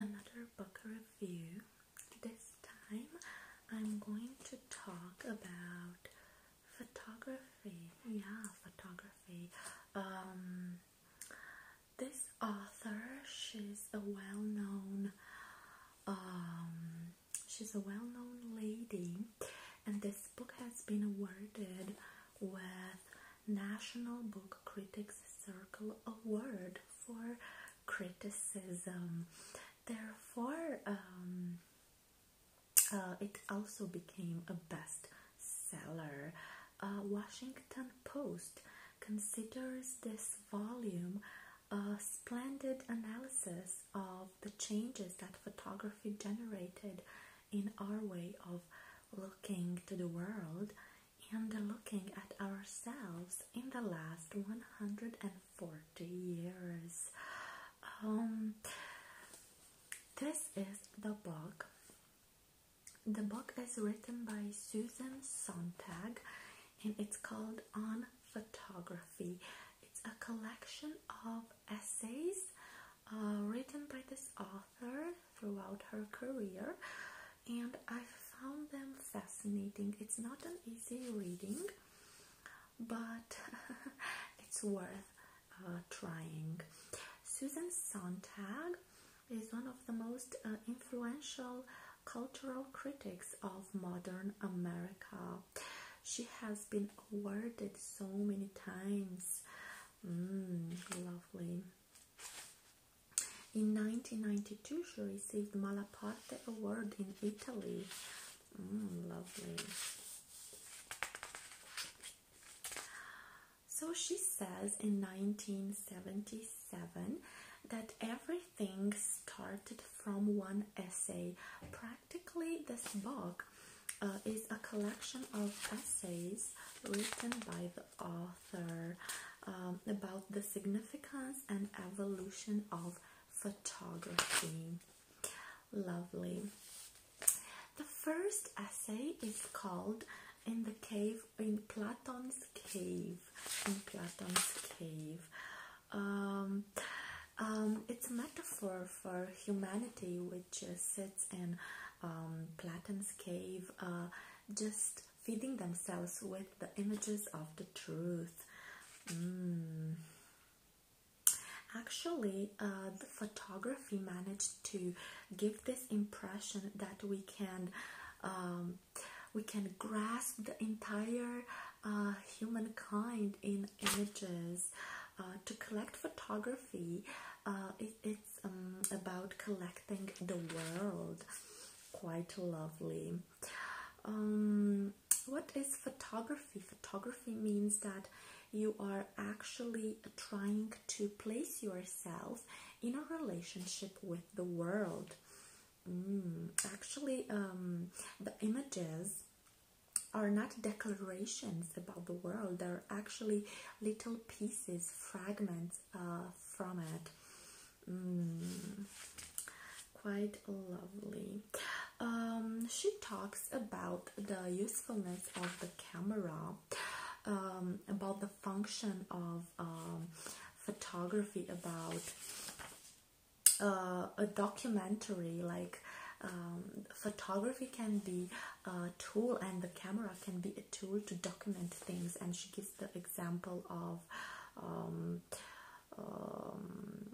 another book review. This time I'm going to talk about photography. Yeah, photography. Um this author, she's a well-known um she's a well-known lady and this book has been awarded with National Book Critics Circle Award for criticism. Therefore, um, uh, it also became a best seller. Uh, Washington Post considers this volume a splendid analysis of the changes that photography generated in our way of looking to the world and looking at ourselves in the last 140 years. Um, this is the book. The book is written by Susan Sontag and it's called On Photography. It's a collection of essays uh, written by this author throughout her career and I found them fascinating. It's not an easy reading, but it's worth uh, trying. Susan Sontag is one of the most uh, influential cultural critics of modern America. She has been awarded so many times. Mm, lovely. In 1992, she received Malaparte Award in Italy. Mm, lovely. So she says in 1977 that everything started from one essay. Practically, this book uh, is a collection of essays written by the author um, about the significance and evolution of photography. Lovely. The first essay is called "In the Cave in Platon's Cave." In Platon's Cave, um, um, it's a metaphor for humanity, which sits in um, Platon's cave, uh, just feeding themselves with the images of the truth. Mm. Actually, uh, photography managed to give this impression that we can um, we can grasp the entire uh, humankind in images. Uh, to collect photography, it's um, about collecting the world. Quite lovely. Um, what is photography? Photography means that you are actually trying to place yourself in a relationship with the world. Mm, actually, um, the images are not declarations about the world, they're actually little pieces, fragments uh, from it. Mm, quite lovely. Um, she talks about the usefulness of the camera, um, about the function of um, photography, about uh, a documentary like. photography can be a tool and the camera can be a tool to document things and she gives the example of um,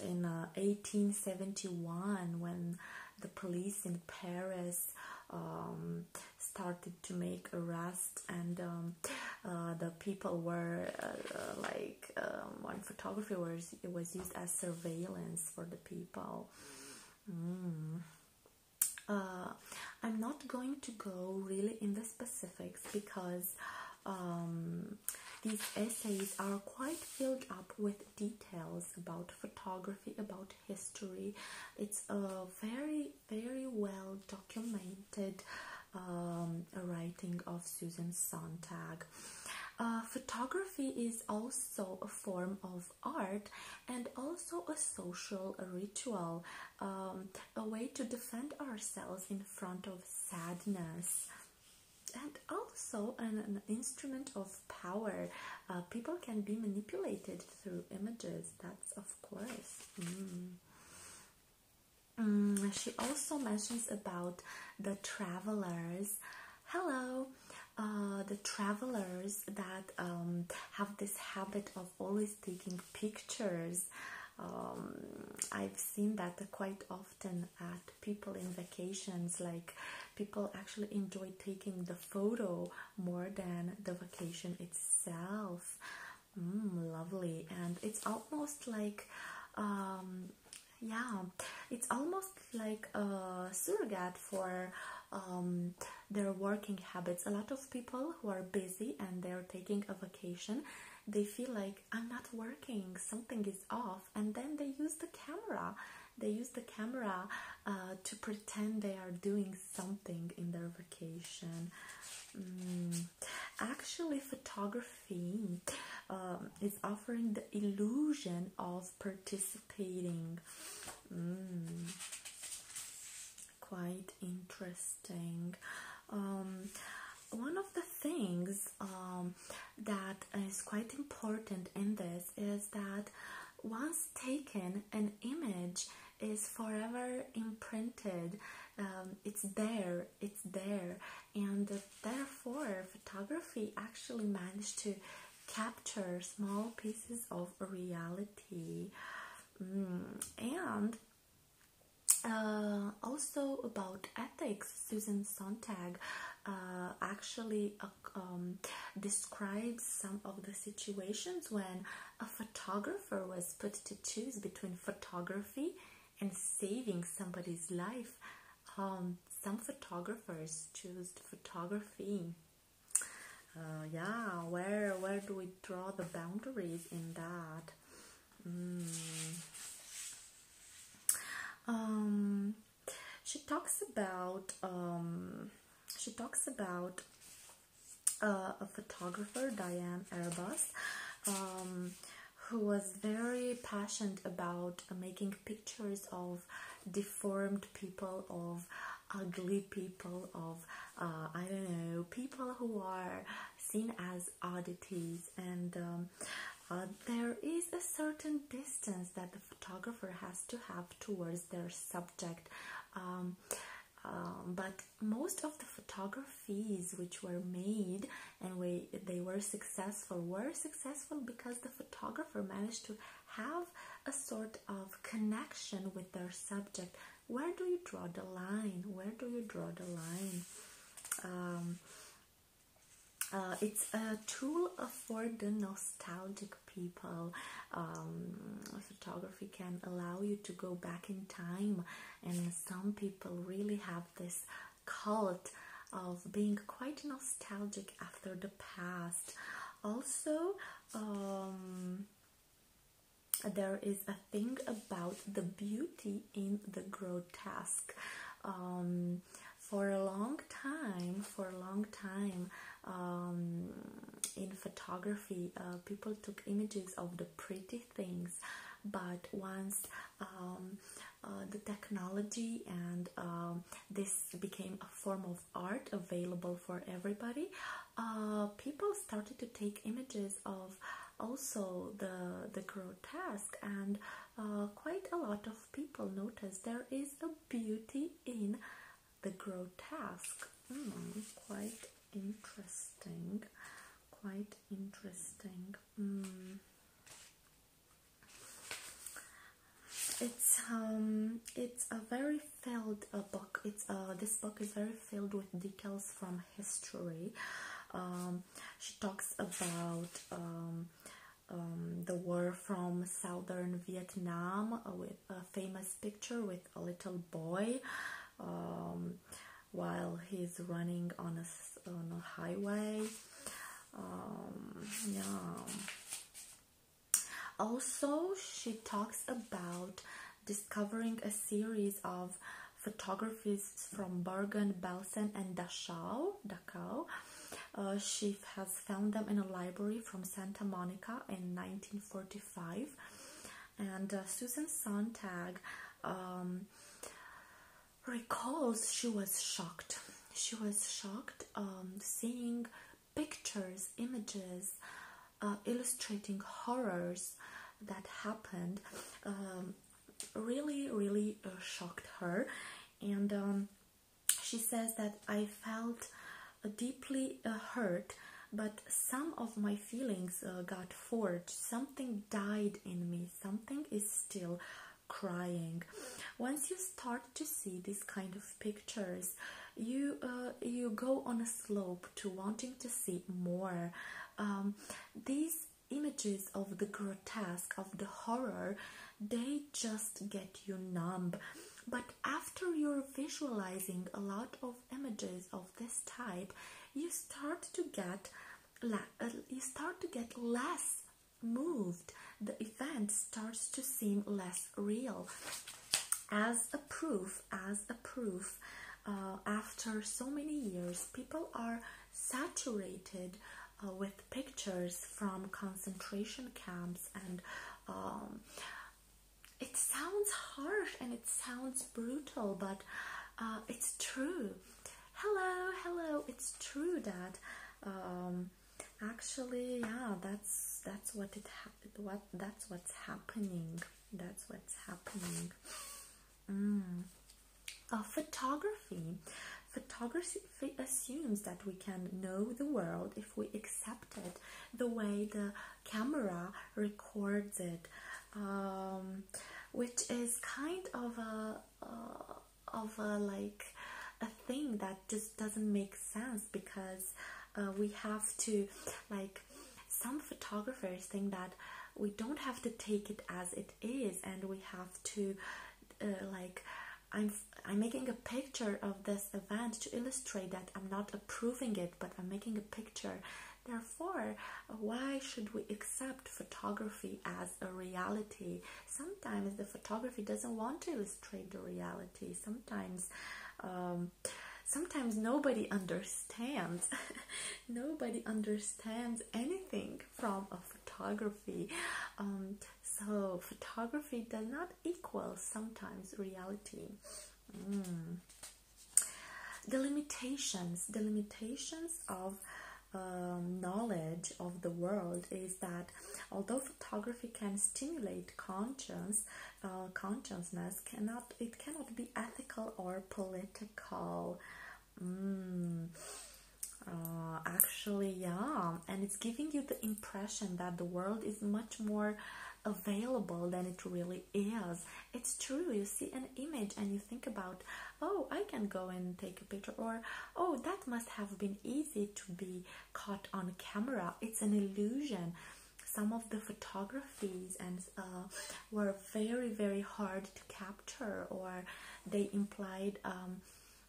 in 1871 uh, when the police in Paris um, started to make arrests and um, uh, the people were uh, like um, one photography was it was used as surveillance for the people mm. I'm not going to go really in the specific because um, these essays are quite filled up with details about photography, about history. It's a very, very well documented um, writing of Susan Sontag. Uh, photography is also a form of art and also a social ritual. Um, a way to defend ourselves in front of sadness and also an, instrument of power uh, people can be manipulated through images that's of course mm. Mm, she also mentions about the travelers hello uh, the travelers that um, have this habit of always taking pictures. Um, I've seen that quite often at people in vacations, like people actually enjoy taking the photo more than the vacation itself. Mm, lovely, and it's almost like, um, yeah, it's almost like a surrogate for. Um, their working habits. A lot of people who are busy and they're taking a they feel like I'm not working, something is off, and then they use the camera. They use the camera uh, to pretend they are doing something in their vacation. Mm. Actually, photography um, is offering the illusion of participating. Mm quite interesting. Um, one of the things um, that is quite important in this is that once taken, an image is forever imprinted. Um, it's there, it's there, and therefore, photography actually managed to capture small pieces of reality. Mm, and uh, also about ethics, Susan Sontag uh, actually uh, um, describes some of the situations when a photographer was put to choose between photography and saving somebody's life. Um, some photographers choose photography. yeah, where where do we draw the boundaries in that? Mm. Um, she talks about um, she talks about uh, a photographer Diane Arbus, um, who was very passionate about making pictures of deformed people of ugly people of uh, I don't know people who are seen as oddities and um, uh, there is a certain distance that the photographer has to have towards their subject um, um, but most of the photographies which were made and they were successful were successful because the photographer managed to have a sort of connection with their subject where do you draw the line where do you draw the line um, uh, it's a tool for the nostalgic people um, photography can allow you to go back in time and some people really have this cult of being quite nostalgic after the past also um, there is a thing about the beauty in the grotesque. Um, for a long time, for a long time, um, in photography, uh, people took images of the pretty things, but once um, uh, the technology and this became a form of art available for everybody, uh, people started to take images of also the the grotesque and uh, quite a lot of people notice there is a beauty in the grotesque hmm, quite interesting quite interesting hmm. it's um it's a very failed uh, book it's uh this book is very filled with details from history. Um, she talks about um, um, the war from southern Vietnam with a famous picture with a little boy while he's running on a, highway. yeah. Also, she talks about discovering a series of photographies from Bergen, Belsen, and Dachau. Uh, she has found them in a library from Santa Monica in 1945. And uh, Susan Sontag um, recalls she was shocked. She was shocked um, seeing pictures, images uh, illustrating horrors that happened um, really, really uh, shocked her. And um, she says that I felt uh, deeply uh, hurt, but some of my feelings got forged. Something died in me, something is still crying. Once you start to see this kind of pictures, you you go on a slope to wanting to see more. Um, these images of the grotesque, of the horror, they just get you numb. But after you're visualizing a lot of images of this type, you start to get uh, you start to get less moved. The event starts to seem less real. As a proof, as a proof uh, after so many years, people are saturated uh, with pictures from concentration camps, and um, it sounds harsh and it sounds brutal, but uh, it's true. Hello, hello. It's true that um, actually, yeah, that's that's what it what that's what's happening. That's what's happening. Mm. Uh, photography. Photography assumes that we can know the world if we accept it the way the camera records it, um, which is kind of a uh, of a like a thing that just doesn't make sense because uh, we have to like some photographers think that we don't have to take it as it is and we have to uh, like I'm I'm making a picture of this event to illustrate that I'm not approving it but I'm making a picture therefore why should we accept photography as a reality sometimes the photography doesn't want to illustrate the reality sometimes um, sometimes nobody understands understands nobody understands anything from a photography um, so photography does not equal sometimes reality mm. the limitations the limitations of um, knowledge of the world is that although photography can stimulate conscience uh, consciousness cannot it cannot be ethical or political Mm. Uh, actually, yeah, and it's giving you the impression that the world is much more available than it really is. It's true. You see an image and you think about, oh, I can go and take a picture, or oh, that must have been easy to be caught on camera. It's an illusion. Some of the photographies and uh, were very very hard to capture or they implied um,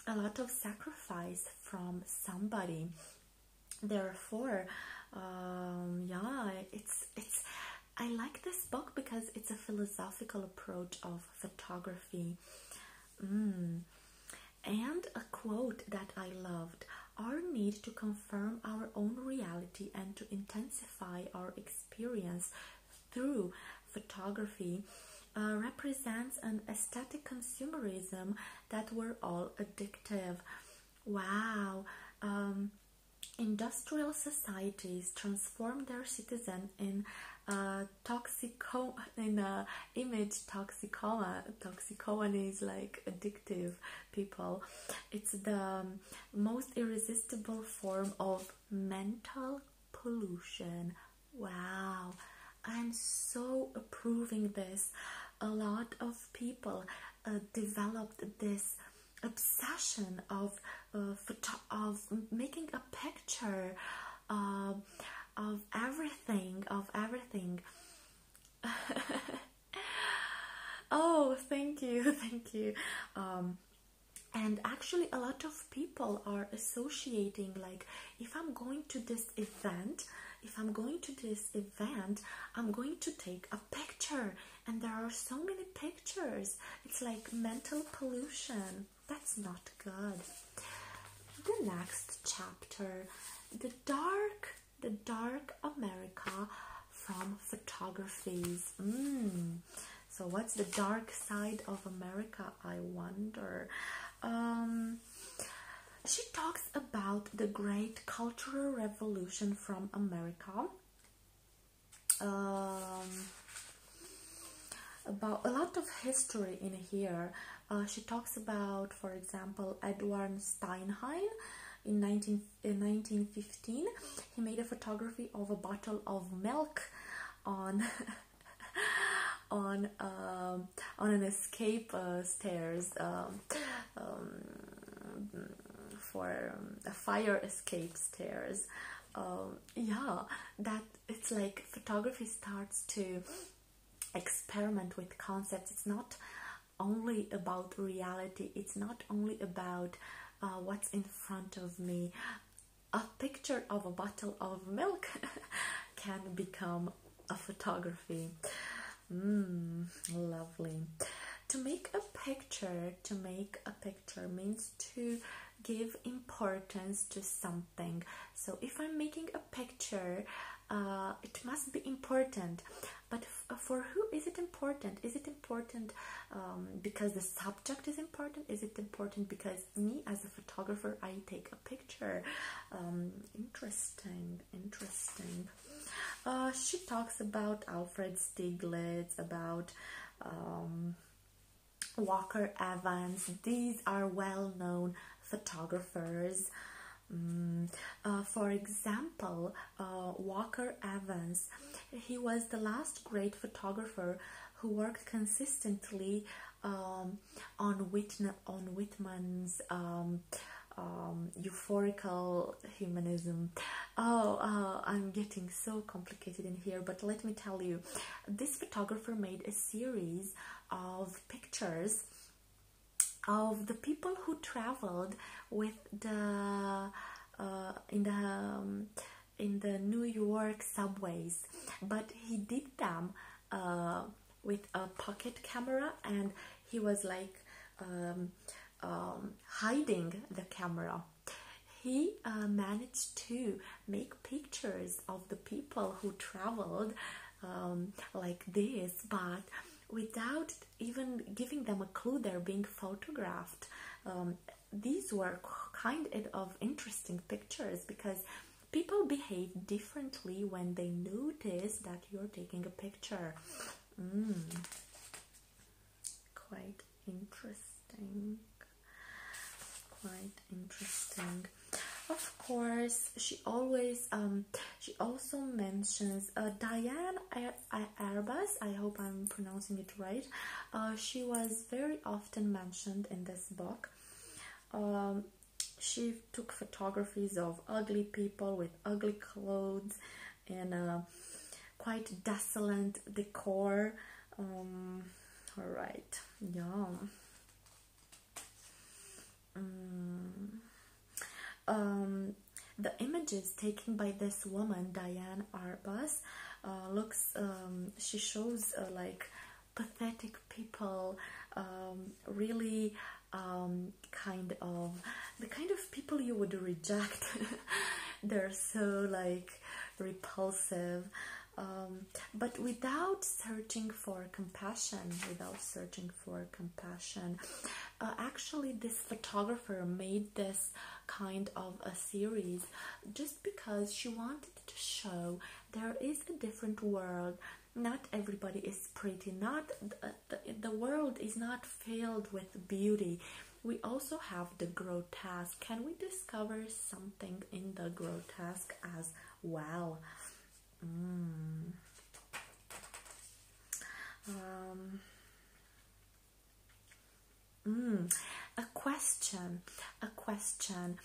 a lot of sacrifice from somebody therefore um, yeah it's it's I like this book because it's a philosophical approach of photography mm. and a quote that I loved our need to confirm our own reality and to intensify our experience through photography uh, represents an aesthetic consumerism that were all addictive. Wow! Um, industrial societies transform their citizen in uh, toxico in uh, image toxicoma. Toxicomany is like addictive people. It's the most irresistible form of mental pollution. Wow, I'm so approving this. A lot of people uh, developed this obsession of uh, of making a picture um, of everything of everything. oh, thank you, thank you. Um, and actually a lot of people are associating like if i'm going to this event if i'm going to this event i'm going to take a picture and there are so many pictures it's like mental pollution that's not good the next chapter the dark the dark america from photographs. mm. So, what's the dark side of America? I wonder. Um, she talks about the great cultural revolution from America. Um, about a lot of history in here. Uh, she talks about, for example, Edward Steinhein. In, 19, in 1915, he made a photography of a bottle of milk on on um, on an escape uh, stairs um, um for um, a fire escape stairs. Um, yeah, that it's like photography starts to experiment with concepts. It's not only about reality. It's not only about uh, what's in front of me a picture of a bottle of milk can become a photography. Mm, lovely. To make a picture, to make a picture means to give importance to something. So if I'm making a picture, uh, it must be important. But for who is it important? Is it important um, because the sub subject is important? Is it important because me as a photographer I take a picture? Um, interesting, interesting. Uh, she talks about Alfred Stieglitz, about um, Walker Evans. These are well-known photographers. Mm, uh, for example, uh, Walker Evans, he was the last great photographer who worked consistently um, on, Whitna on Whitman's um, um, euphorical humanism. Oh, uh, I'm getting so complicated in here, but let me tell you, this photographer made a series of pictures of the people who traveled with the uh, in the in the New York subways, but he did them uh, with a pocket camera and he was like um, um, hiding the camera. He uh, managed to make pictures of the people who traveled um, like this, but without even giving them a clue they're being photographed these were kind of interesting pictures because people behave differently when they notice that you're taking a picture. Hmm. Quite interesting. Quite interesting. Of course, she always um, she also mentions uh, Diane Airbus. I hope I'm pronouncing it right uh, she was very often mentioned in this book um, she took photographs of ugly people with ugly clothes and a uh, quite desolate decor um, all right yeah mm. um, the images taken by this woman Diane Arbus uh, looks she shows uh, like pathetic people um, really um, kind of the kind of people you would reject they're so like repulsive um, but without searching for compassion without searching for compassion uh, actually this photographer made this kind of a series just just because she wanted to show there is a different world. Not everybody is pretty, not the, the, world is not filled with beauty. We also have the grotesque. Can we discover something in the grotesque as well? Hmm. Um, Mm, a question, a question.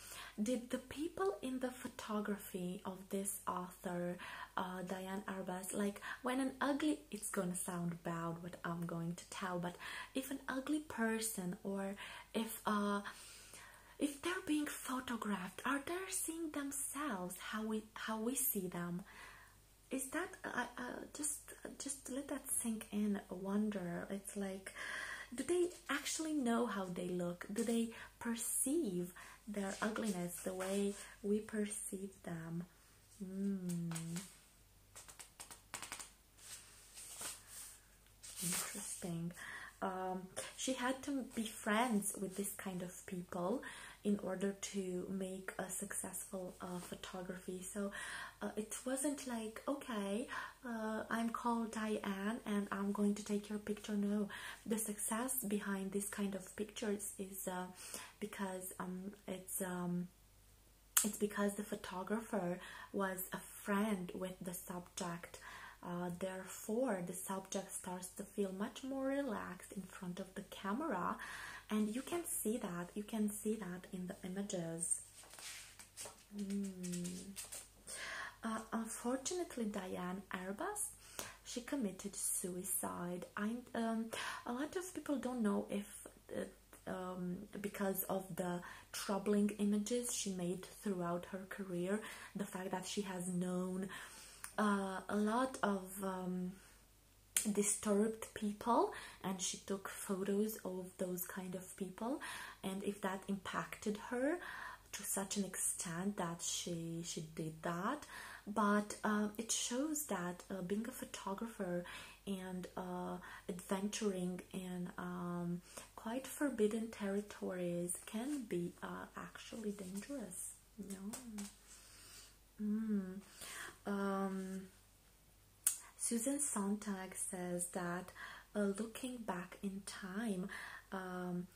Did the people in the photography of this author, uh, Diane Arbus, like when an ugly, it's gonna sound bad what I'm going to tell, but if an ugly person or if uh, if they're being photographed, are they seeing themselves how we how we see them? Is that uh, uh, just uh, just let that sink in wonder it's like do they actually know how they look do they perceive their ugliness the way we perceive them hmm. interesting um, she had to be friends with this kind of people in order to make a successful uh, photography so uh, it wasn't like okay, uh, I'm called Diane and I'm going to take your picture. No, the success behind this kind of pictures is uh, because um, it's um, it's because the photographer was a friend with the subject. therefore, the subject starts to feel much more relaxed in front of the camera, and you can see that you can see that in the images. Mm. Uh, unfortunately, Diane Arbus, she committed suicide. I, um, a lot of people don't know if uh, um, because of the troubling images she made throughout her career, the fact that she has known uh, a lot of um, disturbed people and she took photos of those kind of people and if that impacted her to such an extent that she she did that but uh, it shows that uh, being a photographer and uh, adventuring in um, quite forbidden territories can be actually dangerous you know hmm. um, Susan Sontag says that uh, looking back in time, um,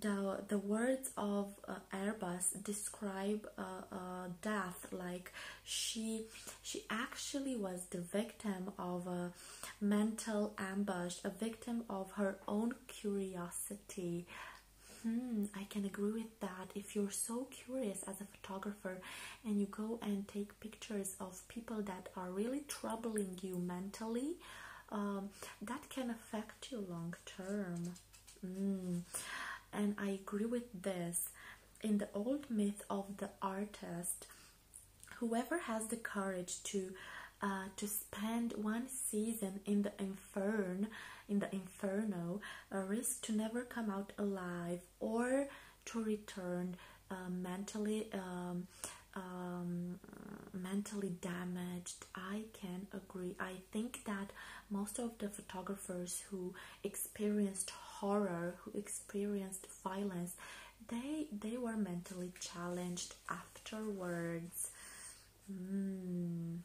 the, the words of uh, Airbus describe uh, uh, death like she she actually was the victim of a mental ambush, a victim of her own curiosity. Hmm, I can agree with that. If you're so curious as a photographer and you go and take pictures of people that are really troubling you mentally, um, that can affect you long term. Mm. And I agree with this. In the old myth of the artist, whoever has the courage to uh, to spend one season in the infern, in the inferno, uh, risk to never come out alive or to return uh, mentally um, um, mentally damaged i can agree i think that most of the photographers who experienced horror who experienced violence they they were mentally challenged afterwards hmm.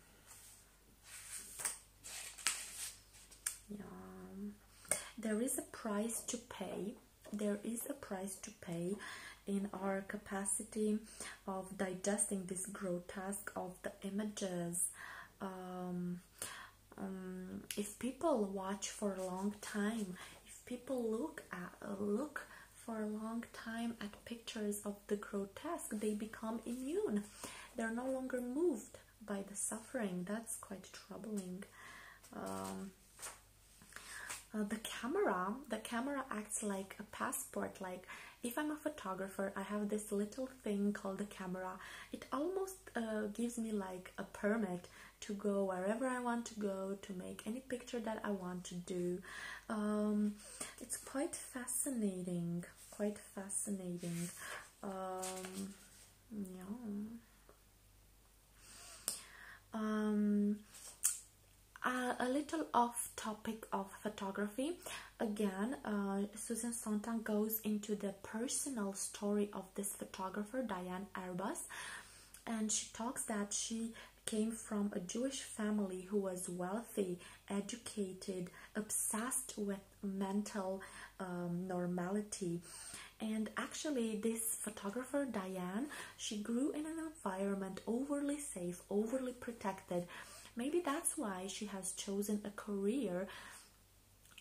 yeah. there is a price to pay there is a price to pay in our capacity of digesting this grotesque of the images um, um, if people watch for a long time if people look at look for a long time at pictures of the grotesque they become immune they're no longer moved by the suffering that's quite troubling um, uh, the camera, the camera acts like a passport. Like if I'm a photographer, I have this little thing called a camera. It almost uh, gives me like a permit to go wherever I want to go, to make any picture that I want to do. Um, it's quite fascinating, quite fascinating. Um, yeah. Um, a little off topic of photography again uh, susan sontag goes into the personal story of this photographer diane arbus and she talks that she came from a jewish family who was wealthy educated obsessed with mental um, normality and actually this photographer diane she grew in an environment overly safe overly protected maybe that's why she has chosen a career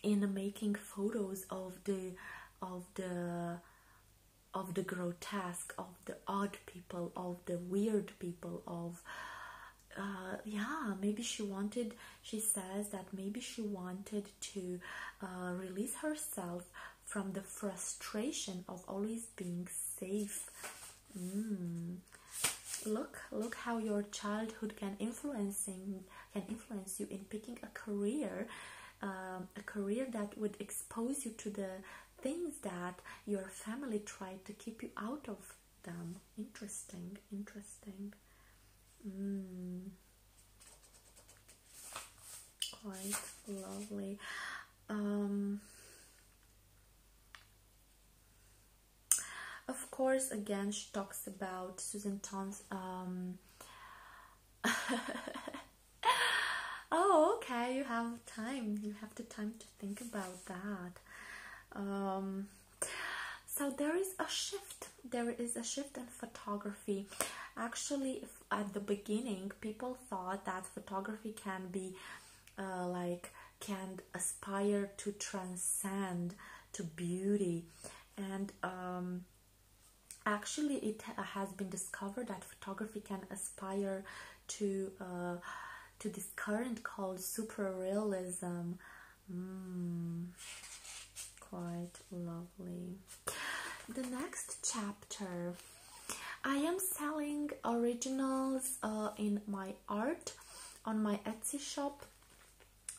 in making photos of the of the of the grotesque of the odd people of the weird people of uh yeah maybe she wanted she says that maybe she wanted to uh, release herself from the frustration of always being safe. Mm. Look, look how your childhood can influencing can influence you in picking a career, um, a career that would expose you to the things that your family tried to keep you out of them. Interesting, interesting. Mm quite lovely. Um, of course, again, she talks about Susan Ton's. Um, oh, okay, you have time. You have the time to think about that. Um, so there is a shift. There is a shift in photography. Actually, at the beginning people thought that photography can be uh, like can aspire to transcend to beauty and um, actually it has been discovered that photography can aspire to uh, to this current called super realism mm, quite love the next chapter I am selling originals uh, in my art on my Etsy shop,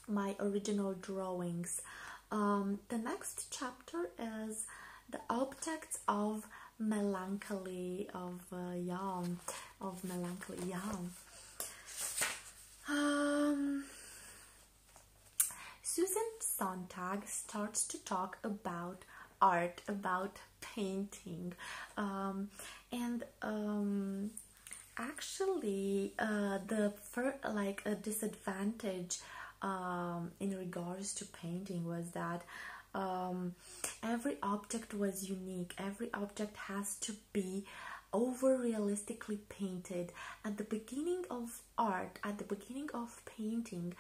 my original drawings. Um, the next chapter is the objects of melancholy of uh, of melancholy yam um, Susan Sontag starts to talk about art, about painting, um, and um, actually uh, the first like a disadvantage um, in regards to painting was that every object was unique. Every object has to be over realistically painted. At the beginning of art at the beginning of painting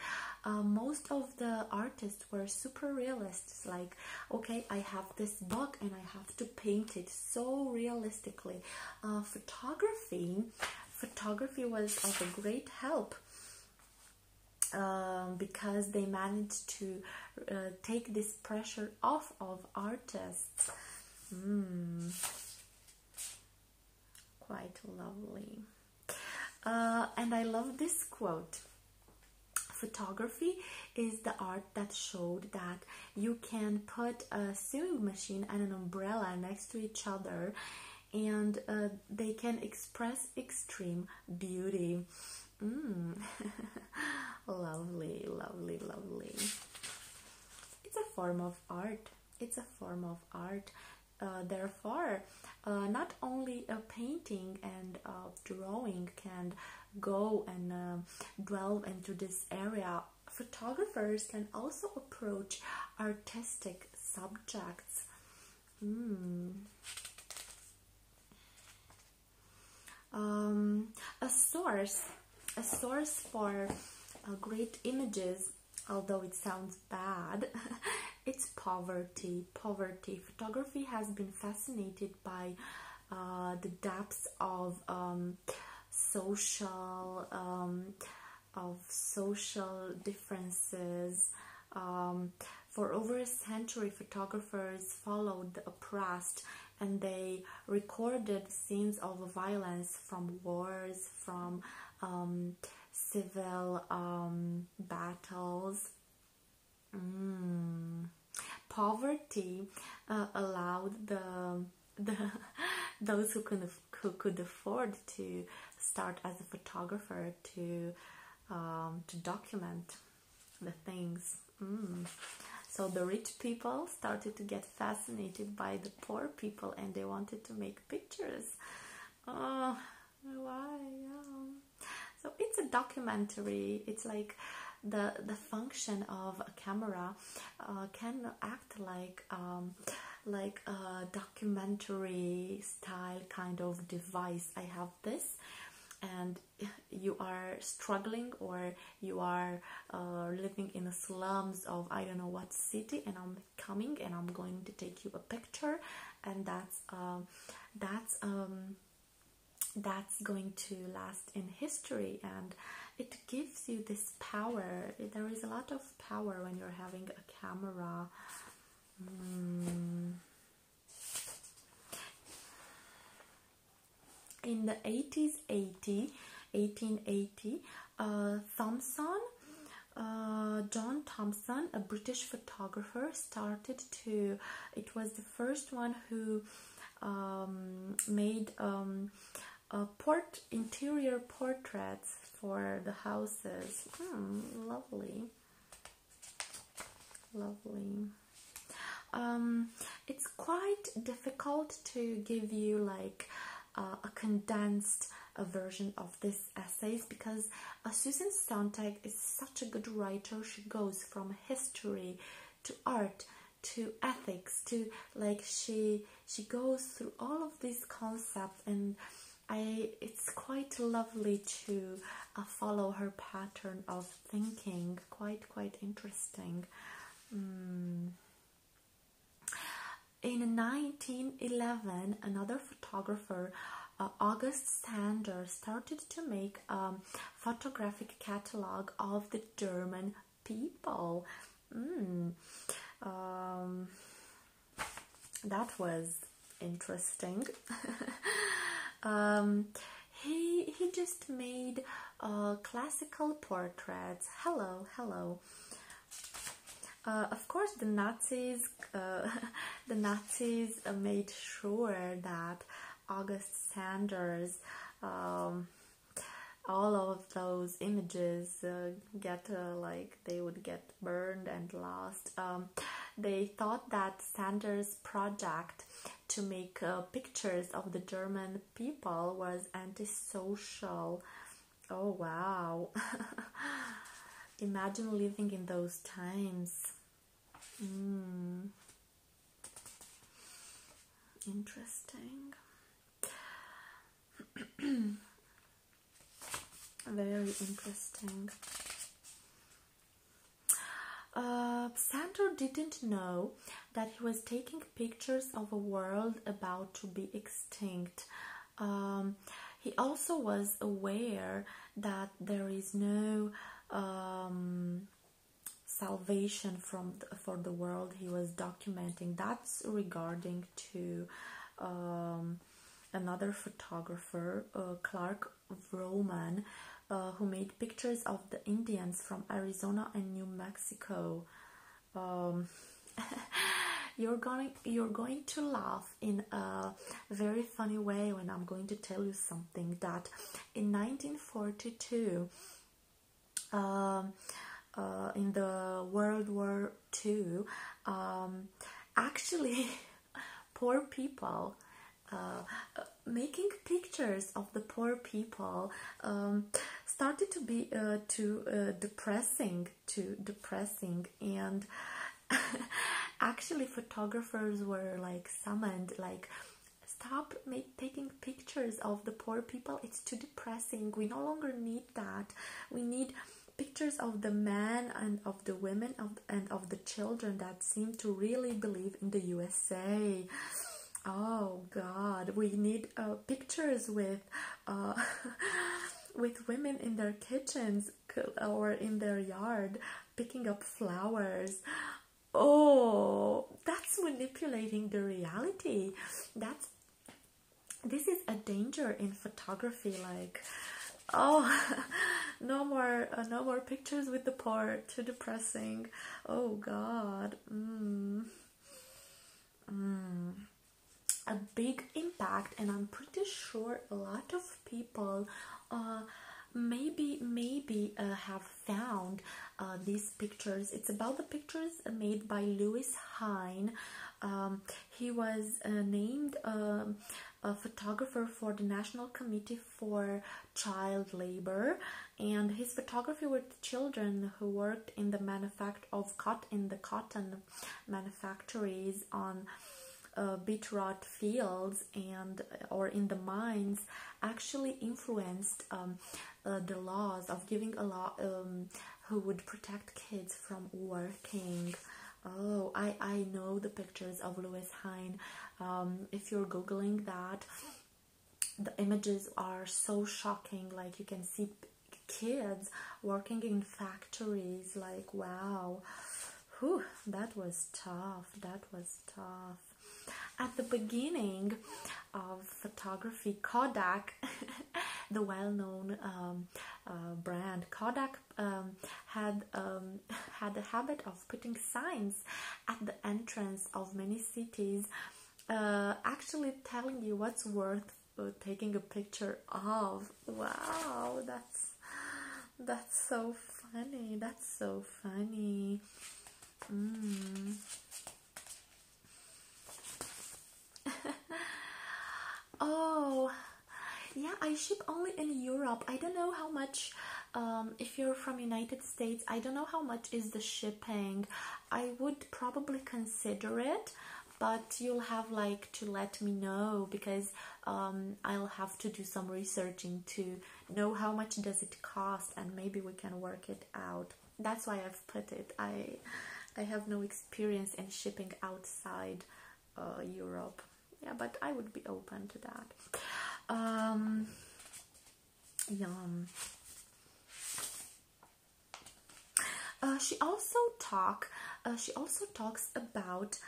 uh, most of the artists were super realists like okay i have this bug and i have to paint it so realistically uh, photography photography was of a great help um, because they managed to uh, take this pressure off of artists hmm. Quite lovely. Uh, and I love this quote photography is the art that showed that you can put a sewing machine and an umbrella next to each other and uh, they can express extreme beauty mm. lovely lovely lovely it's a form of art it's a form of art uh, therefore, uh, not only a painting and uh, drawing can go and uh, delve into this area, photographers can also approach artistic subjects. Hmm. Um, a source, a source for uh, great images although it sounds bad, it's poverty. Poverty. Photography has been fascinated by uh, the depths of um, social um, of social differences. Um, for over a century, photographers followed the oppressed and they recorded scenes of violence from wars, from civil um, battles. Mm. Poverty uh, allowed the the those who could who could afford to start as a photographer to um, to document the things. Mm. So the rich people started to get fascinated by the poor people and they wanted to make pictures oh, why? Oh. So it's a documentary. It's like the the function of a camera uh, can act like um, like a documentary style kind of device. I have this, and you are struggling or you are uh, living in the slums of I don't know what city, and I'm coming and I'm going to take you a picture and that's um, that's um, that's going to last in history and it gives you this power there is a lot of power when you're having a camera mm. in the 80s 80 1880 uh, Thompson uh, John Thompson, a British photographer, started to. It was the first one who um, made um, interior portraits for the houses. Hmm, lovely, lovely. Um, it's quite difficult to give you like uh, a condensed a version of this essays because uh, Susan Sontag is such a good writer. She goes from history to art to ethics to like she she goes through all of these concepts and I it's quite lovely to uh, follow her pattern of thinking. Quite quite interesting. Mm. In 1911, another photographer, uh, August Sander, started to make a photographic catalog of the German people. Hmm. Um, that was interesting. Um, he he just made uh, classical portraits. Hello, hello. Uh, of course, the Nazis, uh, the Nazis made sure that August Sanders, um, all of those images uh, get like they would get burned and lost. Um, they thought that Sanders' project to make pictures of the German people was antisocial Oh wow. Imagine living in those times. Hmm. Interesting. Very interesting. Uh, Sandor didn't know that he was taking pictures of a world about to be extinct. Um, he also was aware that there is no um, salvation from for the world. He was documenting that's regarding to um, another photographer, uh, Clark Roman, uh, who made pictures of the Indians from Arizona and New Mexico. you're going you're going to laugh in a very funny way when I'm going to tell you something that in 1942, um, uh, in the World War II, um, actually, poor people. Uh, making pictures of the poor people um, started to be uh, too uh, depressing too depressing and actually photographers were like summoned like stop taking pictures of the poor people it's too depressing we no longer need that we need pictures of the men and of the women and of the children that seem to really believe in the usa oh god we need uh, pictures with uh, with women in their kitchens or in their yard picking up flowers. Oh, that's manipulating the reality. That's this is a danger in photography like oh no more uh, no more pictures with the poor too depressing oh god mm. Mm. a big impact and i'm pretty sure a lot of people uh, maybe maybe uh, have found uh, these pictures. It's about the pictures made by Louis Hine. Um, he was named um, a photographer for the National Committee for Child Labor, and his photography were children who worked in the manufacture of cotton the cotton manufactories, on uh, fields, and or in the mines, actually influenced um, uh, the laws of giving a law um, who would protect kids from working. Oh, I I know the pictures of Louis Hine. Um, if you're googling that, the images are so shocking. Like you can see kids working in factories. Like wow, Whew, that was tough. That was tough. At the beginning of photography, Kodak, the well-known um, uh, brand Kodak, um, had um, had a habit of putting signs at the entrance of many cities, uh, actually telling you what's worth uh, taking a picture of. Wow, that's that's so funny. That's so funny. Mm. oh, yeah. I ship only in Europe. I don't know how much. Um, if you're from United States, I don't know how much is the shipping. I would probably consider it, but you'll have like to let me know because um, I'll have to do some researching to know how much does it cost and maybe we can work it out. That's why I've put it. I I have no experience in shipping outside uh, Europe. Yeah, but I would be open to that. Um, yum. Uh, she also talk. Uh, she also talks about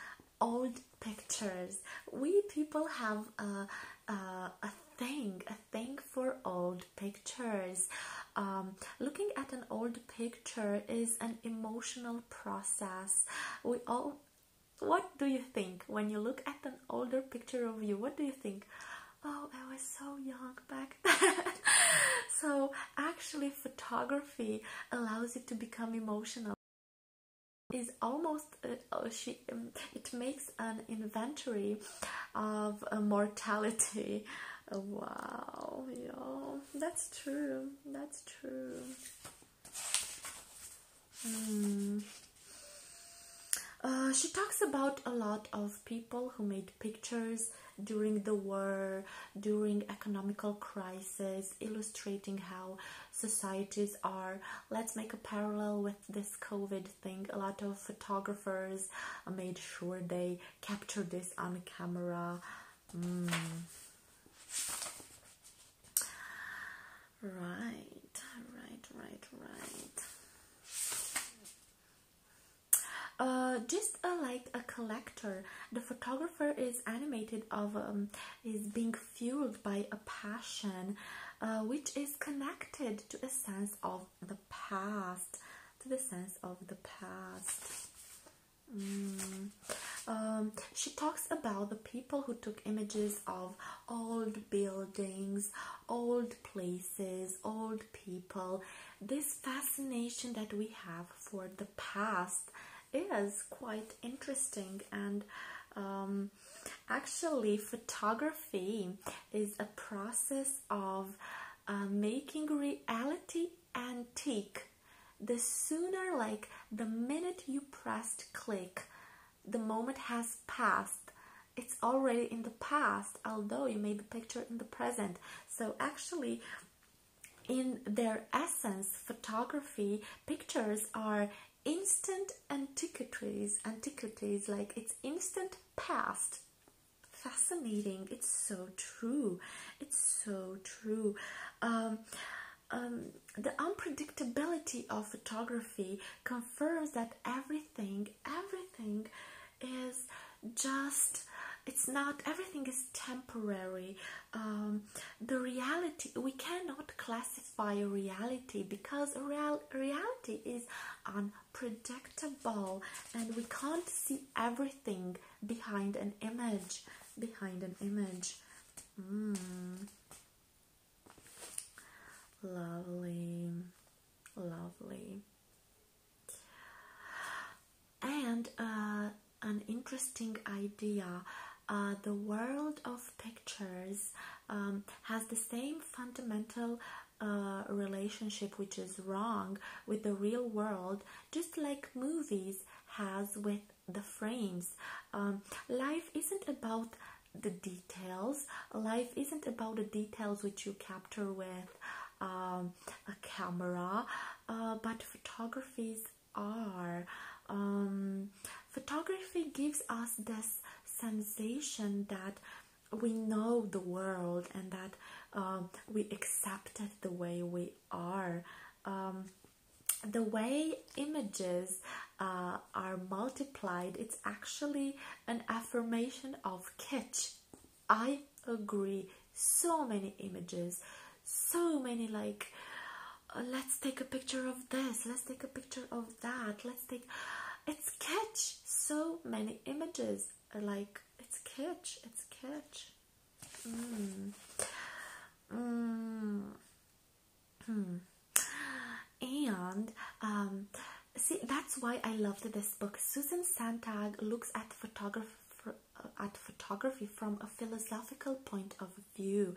old pictures. We people have a, a, thing, a thing for old pictures. Um, looking at an old picture is an emotional process. We all, what do you think when you look at an older picture of you? What do you think? Oh, I was so young back then. so actually, photography allows it to become emotional is almost uh, uh, she um, it makes an inventory of uh, mortality wow yeah that's true that's true hmm. she talks about a lot of people who made pictures during the war during economical crisis illustrating how societies are. Let's make a parallel with this COVID thing. A lot of photographers made sure they captured this on camera. Hmm. Right, right, right, right. Uh, just uh, like a collector, the photographer is animated of um, is being fueled by a passion uh, which is connected to a sense of the past to the sense of the past mm. um, she talks about the people who took images of old buildings old places old people this fascination that we have for the past is quite interesting and um, actually photography is a process of uh, making reality antique the sooner like the minute you pressed click the moment has passed it's already in the past although you made the picture in the present so actually in their essence, photography pictures are instant antiquities, antiquities like it's instant past. Fascinating. It's so true. It's so true. Um, um, the unpredictability of photography confirms that everything, everything is just, it's not, everything is temporary um, the reality we cannot classify reality because real reality is unpredictable and we can't see everything behind an image behind an image hmm. lovely lovely and uh, an interesting idea. Uh, the world of pictures um, has the same fundamental uh, relationship, which is wrong, with the real world, just like movies has with the frames. Um, life isn't about the details. Life isn't about the details which you capture with um, a camera, uh, but photography is are. Um, photography gives us this sensation that we know the world and that um, we accept it the way we are. Um, the way images uh, are multiplied, it's actually an affirmation of kitsch. I agree. So many images, so many like uh, let's take a picture of this let's take a picture of that let's take it's catch so many images like it's catch it's catch mm. Mm. Hmm. and um see that's why i loved this book susan santag looks at photography at photography from a philosophical point of view.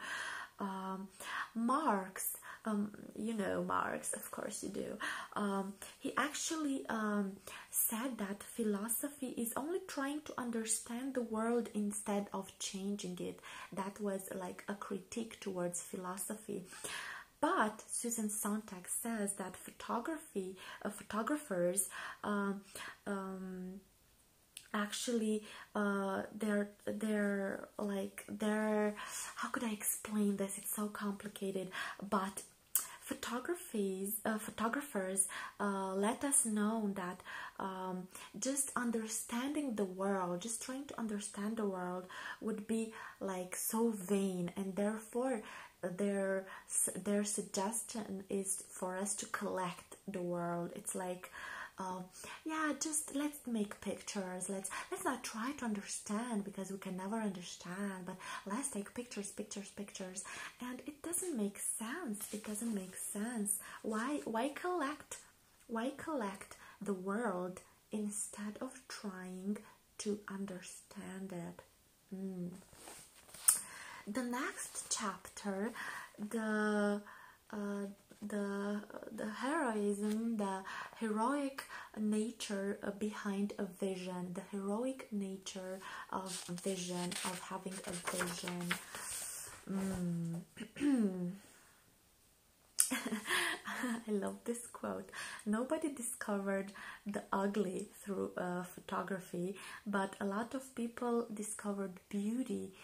Um, Marx, um, you know Marx, of course you do. Um, he actually um, said that philosophy is only trying to understand the world instead of changing it. That was like a critique towards philosophy. But Susan Sontag says that photography, uh, photographers actually uh, they're they're like they're how could i explain this it's so complicated but photographies uh, photographers uh, let us know that um, just understanding the world just trying to understand the world would be like so vain and therefore their their suggestion is for us to collect the world it's like um, yeah just let's make pictures let's let's not try to understand because we can never understand but let's take pictures pictures pictures and it doesn't make sense it doesn't make sense why why collect why collect the world instead of trying to understand it hmm. the next chapter the uh, the the heroism, the heroic nature behind a vision, the heroic nature of vision of having a vision. Mm. I love this quote. Nobody discovered the ugly through uh, photography, but a lot of people discovered beauty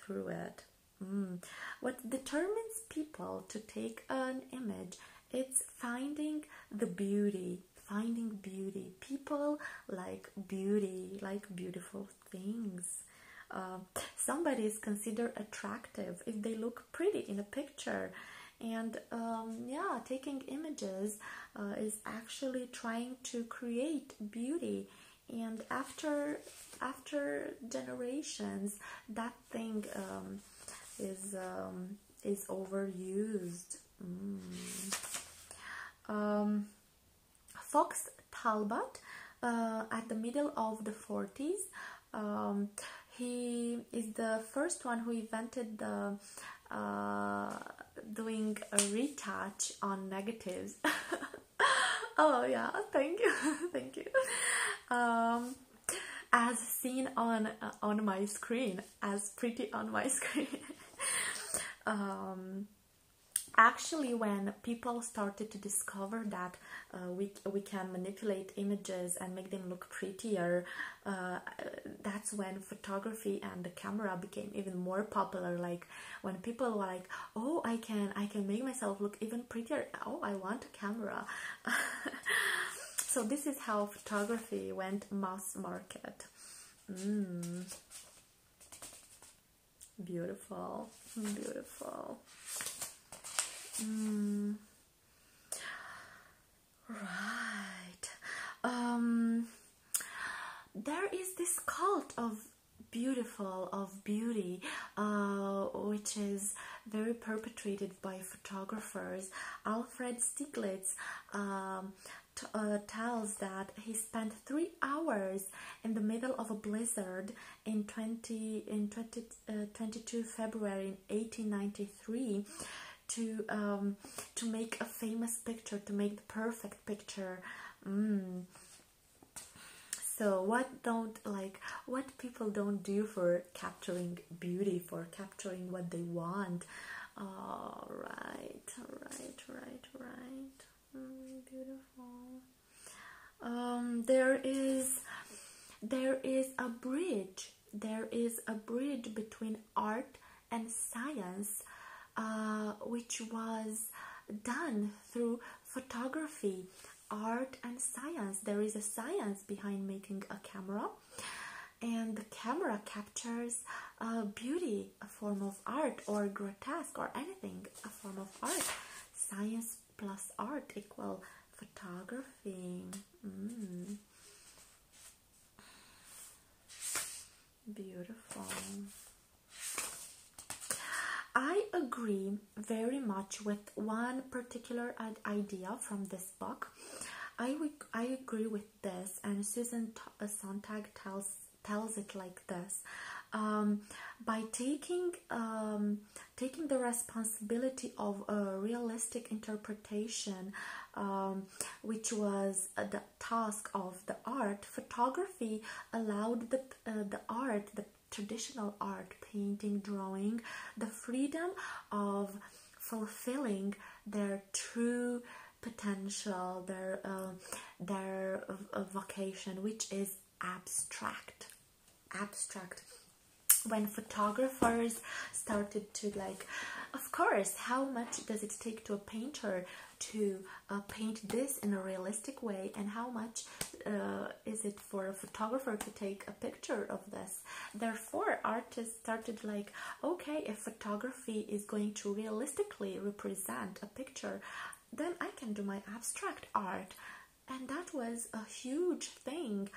through it. Hmm. What determines people to take an image? It's finding the beauty, finding beauty. People like beauty, like beautiful things. Uh, somebody is considered attractive if they look pretty in a picture. And um, yeah, taking images uh, is actually trying to create beauty and after after generations that thing um, is um, is overused mm. um, fox talbot uh, at the middle of the 40s he is the first one who invented the uh, doing a retouch on negatives oh yeah, thank you, thank you. Um, as seen on uh, on my screen, as pretty on my screen. Um, actually, when people started to discover that uh, we we can manipulate images and make them look prettier, uh, that's when photography and the camera became even more popular. Like when people were like oh i can i can make myself look even prettier oh i want a camera so this is how photography went mass market mm. beautiful beautiful mm. right um, there is this cult of beautiful of beauty uh, which is very perpetrated by photographers alfred stieglitz um, uh, tells that he spent three hours in the middle of a blizzard in 20 in 20, uh, 22 february 1893 to um, to make a famous picture to make the perfect picture mm so what don't like what people don't do for capturing beauty for capturing what they want all right all right right right mm, beautiful um there is there is a bridge there is a bridge between art and science uh, which was done through photography, art, and science. There is a science behind making a camera, and the camera captures beauty, a form of art, or grotesque, or anything, a form of art. Science plus art equal photography. Mm. Beautiful. I agree very much with one particular idea from this book. I, I agree with this, and Susan T uh, Sontag tells tells it like this: um, by taking um, taking the responsibility of a realistic interpretation, um, which was uh, the task of the art, photography allowed the uh, the art the traditional art, painting, drawing, the freedom of fulfilling their true potential, their um, their uh, vocation, which is abstract, abstract. When photographers started to like, of course, how much does it take to a painter to uh, paint this in a realistic way, and how much uh, is it for a photographer to take a picture of this therefore artists started like okay if photography is going to realistically represent a picture then i can do my abstract art and that was a huge thing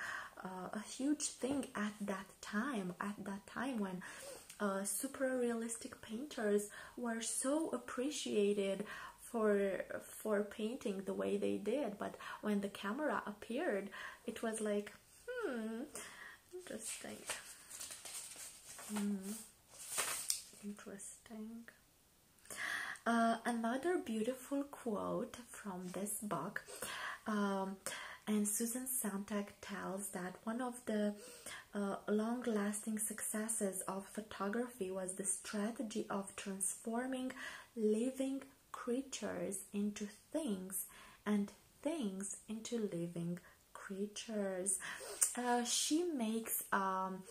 uh, a huge thing at that time at that time when uh, super realistic painters were so appreciated for for painting the way they did but when the camera appeared it was like hmm interesting mm. interesting uh, another beautiful quote from this book um, and Susan Sontag tells that one of the uh, long-lasting successes of photography was the strategy of transforming living creatures into things and things into living creatures. Uh, she makes, um,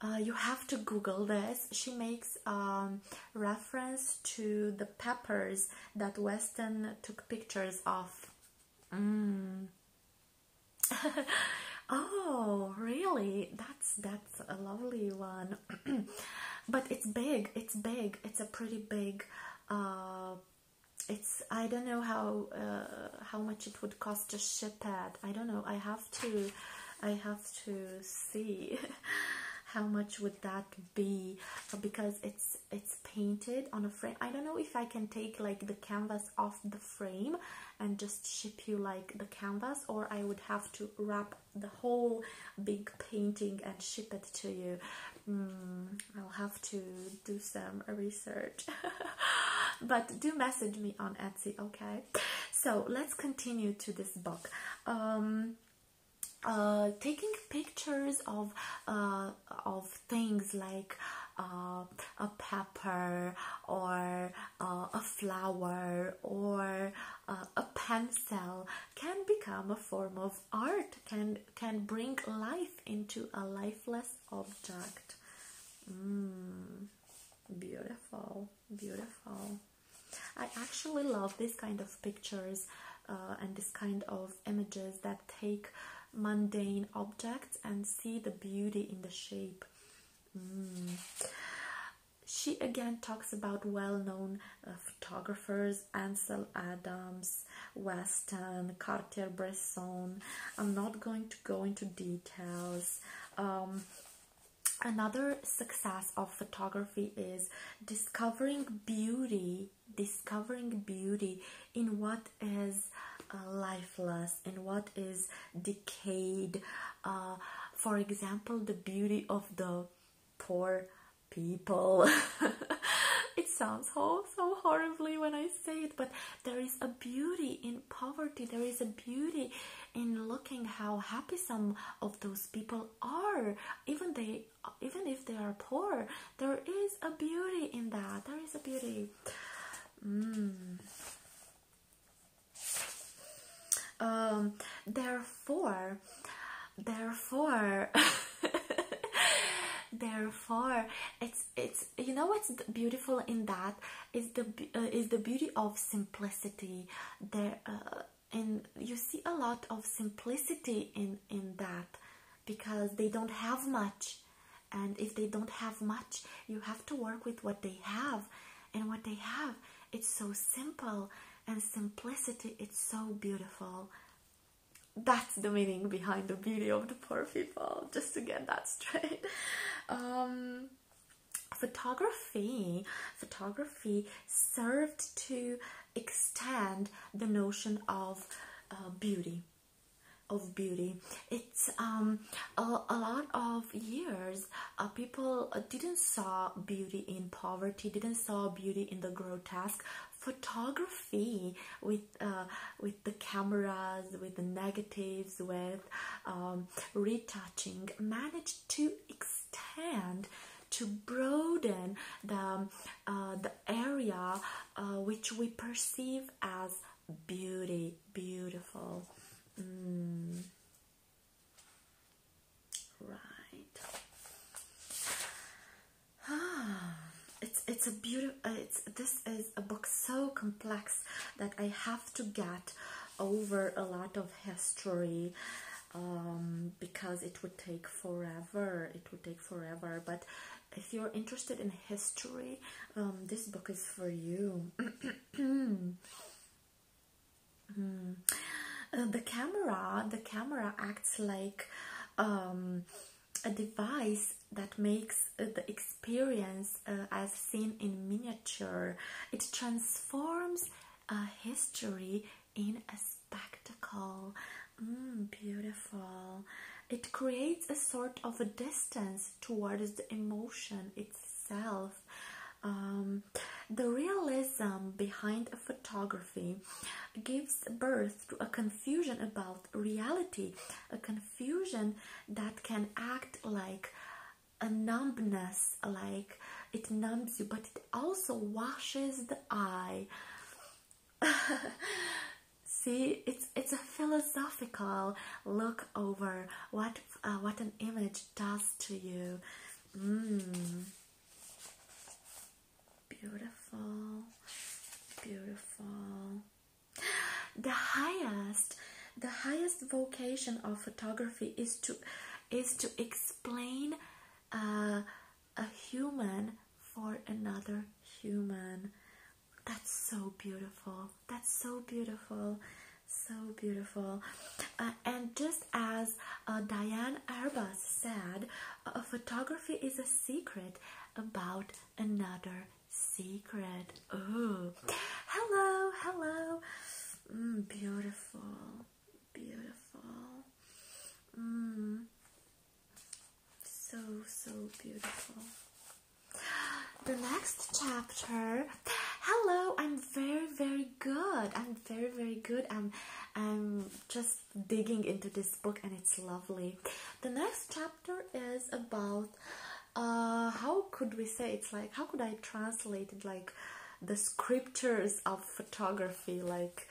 uh, you have to Google this, she makes um, reference to the peppers that Weston took pictures of. Mm. oh, really? That's that's a lovely one. but it's big. It's big. It's a pretty big. Uh, it's I don't know how uh, how much it would cost to ship it. I don't know. I have to. I have to see how much would that be uh, because it's it's painted on a frame. I don't know if I can take like the canvas off the frame and just ship you like the canvas or I would have to wrap the whole big painting and ship it to you. Mm, I'll have to do some research. but do message me on Etsy, okay? So let's continue to this book. Um, uh, taking pictures of uh, of things like uh, a pepper or uh, a flower or uh, a pencil can become a form of art can can bring life into a lifeless object mm, beautiful beautiful i actually love this kind of pictures uh, and this kind of images that take mundane objects and see the beauty in the shape mm she again talks about well-known uh, photographers ansel adams weston cartier-bresson i'm not going to go into details um, another success of photography is discovering beauty discovering beauty in what is uh, lifeless us and what is decayed uh, for example the beauty of the poor people it sounds so, so horribly when i say it but there is a beauty in poverty there is a beauty in looking how happy some of those people are even they even if they are poor there is a beauty in that there is a beauty mm. Um, therefore, therefore, therefore, it's it's you know what's beautiful in that is the uh, is the beauty of simplicity. There uh, and you see a lot of simplicity in in that because they don't have much, and if they don't have much, you have to work with what they have and what they have. It's so simple, and simplicity, it's so beautiful. That's the meaning behind the beauty of the poor people, just to get that straight. Um, photography photography served to extend the notion of uh, beauty of beauty it's um, a, lot of years uh, people uh, didn't saw beauty in poverty, didn't saw beauty in the grotesque. Photography with uh, with the cameras, with the negatives, with um, retouching, managed to extend to broaden the um, the area which we perceive as beauty, beautiful. Mm. Right. Ah, it's it's a beautiful. Uh, it's this is a book so complex that I have to get over a lot of history um, because it would take forever. It would take forever, but if you're interested in history, um, this book is for you. Mm. Uh, the camera, the camera acts like um, a device that makes uh, the experience as uh, seen in miniature. It transforms a history in a spectacle. Mm, beautiful. It creates a sort of a distance towards the emotion itself. Um, the realism behind photography gives birth to a confusion about reality, a confusion that can act like a numbness, like it numbs you, but it also washes the eye. See, it's it's a philosophical look over what uh, what an image does to you. Mmm. Beautiful. Beautiful. The highest, the highest vocation of photography is to is to explain uh, a human for another human. That's so beautiful. That's so beautiful so beautiful uh, and just as uh, diane arbus said photography is a secret about another secret oh hello hello mm, beautiful beautiful mm. so so beautiful the next chapter hello i'm very very good. I'm very, very good. I'm, I'm just digging into this book, and it's lovely. The next chapter is about uh, how could we say it's like how could I translate it like the scriptures of photography, like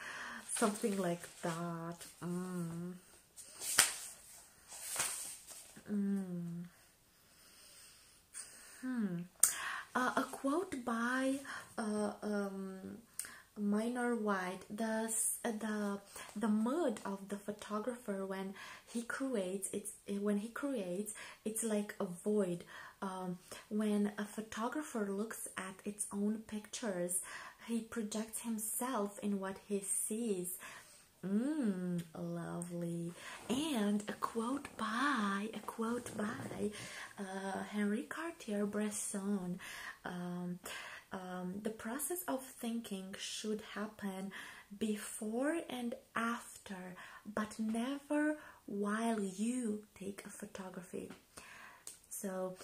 something like that. Mm. Mm. Hmm. Uh, a quote by uh, um, Minor White: the uh, the the mood of the photographer when he creates it's when he creates it's like a void. Um, when a photographer looks at its own pictures, he projects himself in what he sees. Mmm, lovely and a quote by a quote by uh, Henri Cartier-Bresson. Um, um, the process of thinking should happen before and after, but never while you take a photography. So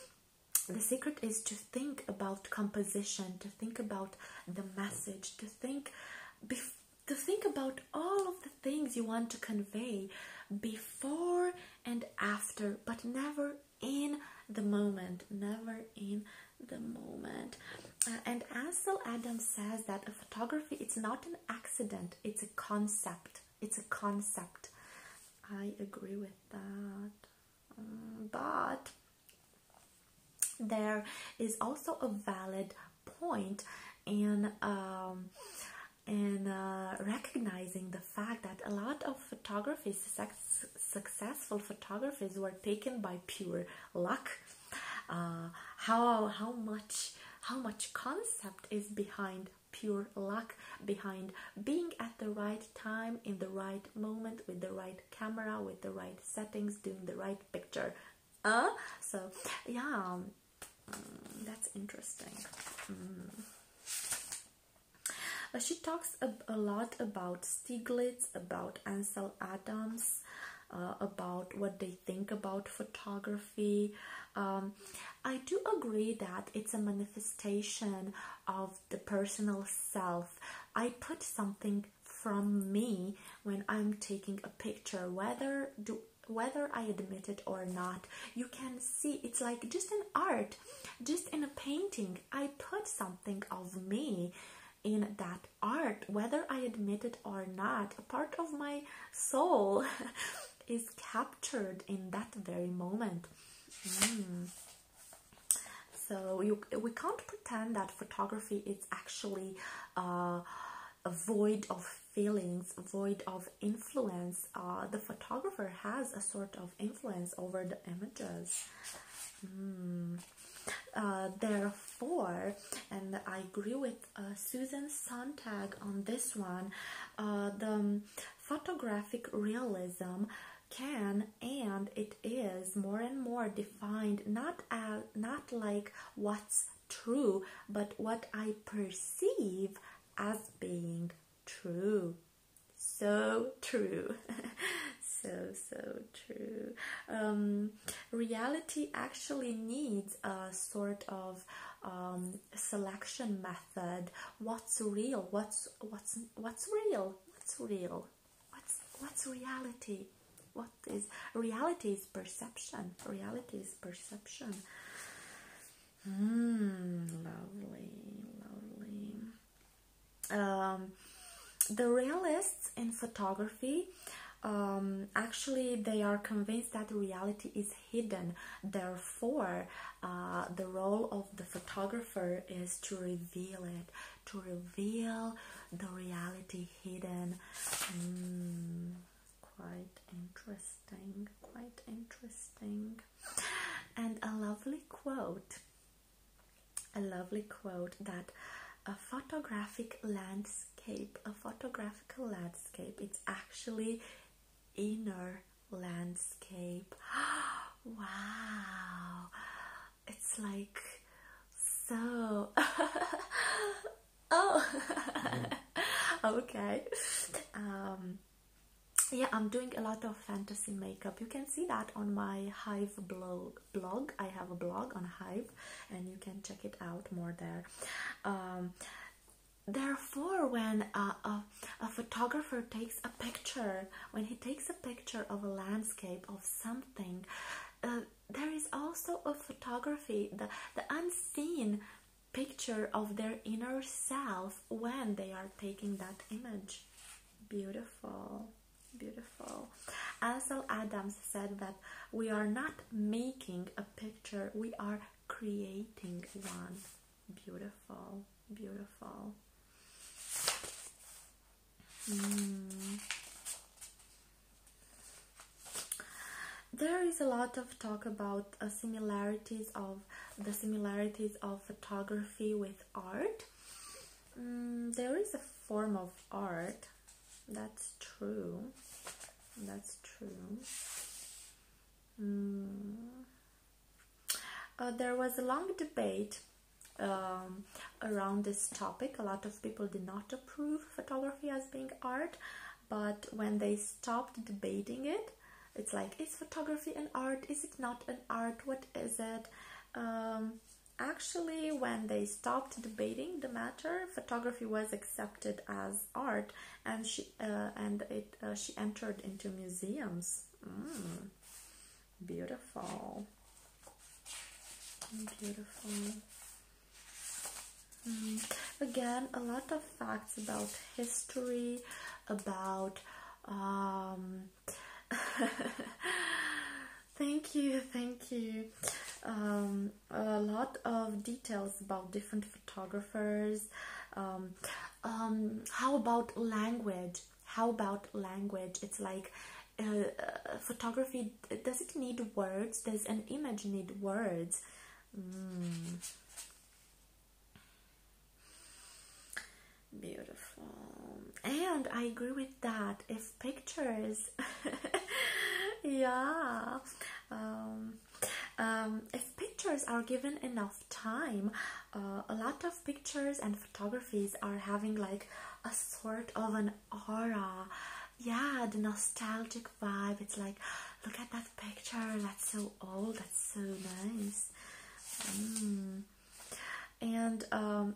the secret is to think about composition, to think about the message, to think before to think about all of the things you want to convey before and after, but never in the moment, never in the moment. Uh, and Ansel Adams says that a photography it's not an accident, it's a concept. It's a concept. I agree with that. Mm, but there is also a valid point and um, and uh, recognizing the fact that a lot of photographers, successful photographers, were taken by pure luck. Uh, how how much how much concept is behind pure luck behind being at the right time in the right moment with the right camera with the right settings doing the right picture uh so yeah um, Mm, that's interesting. Mm. Uh, she talks a, lot about Stiglitz, about Ansel Adams, uh, about what they think about photography. Um, I do agree that it's a manifestation of the personal self. I put something from me when I'm taking a picture. Whether do whether I admit it or not, you can see it's like just an art, just in a painting. I put something of me in that art, whether I admit it or not. A part of my soul is captured in that very moment. Hmm. So you, we can't pretend that photography is actually. Uh, void of feelings, void of influence. Uh, the photographer has a sort of influence over the images. Mm. Uh, therefore, and I agree with uh, Susan Sontag on this one, uh, the photographic realism can and it is more and more defined not as not like what's true, but what I perceive as being true. So true. so, so true. Um, reality actually needs a sort of um, selection method. What's real? What's, what's, what's real? What's real? What's, what's reality? What is reality is perception. Reality is is perception. Hmm, lovely, lovely. Um, the realists in photography um, actually they are convinced that reality is hidden. Therefore, uh, the role of the photographer is to reveal it, to reveal the reality hidden. Hmm quite interesting, quite interesting, and a lovely quote. A lovely quote that a photographic landscape, a photographical landscape, it's actually inner landscape. wow, it's like so. oh okay um, yeah i'm doing a lot of fantasy makeup you can see that on my hive blog blog i have a blog on hive and you can check it out more there um, therefore when a, a, photographer takes a picture when he takes a picture of a landscape of something uh, there is also a photography the, the unseen picture of their inner self when they are taking that image. Beautiful, beautiful. Ansel Adams said that we are not making a picture, we are creating one. Beautiful, beautiful. Hmm. There is a lot of talk about uh, similarities of the similarities of photography with art. Mm, there is a form of art. That's true. That's true. Mm. Uh, there was a long debate um, around this topic. A lot of people did not approve photography as being art, but when they stopped debating it it's like is photography an art is it not an art what is it um, actually when they stopped debating the matter photography was accepted as art and she uh, and it uh, she entered into museums mm, beautiful beautiful um, again, a lot of facts about history, about. Um, thank you, thank you. Um, a lot of details about different photographers. how about language? How about language? It's like uh, uh, photography. Does it need words? Does an image need words? Hmm. Beautiful. And I agree with that. If pictures, yeah, um, um, if pictures are given enough time, uh, a lot of pictures and photographies are having like a sort of an aura. Yeah, the nostalgic vibe. It's like Look at that picture. That's so old. That's so nice. Mm. And um,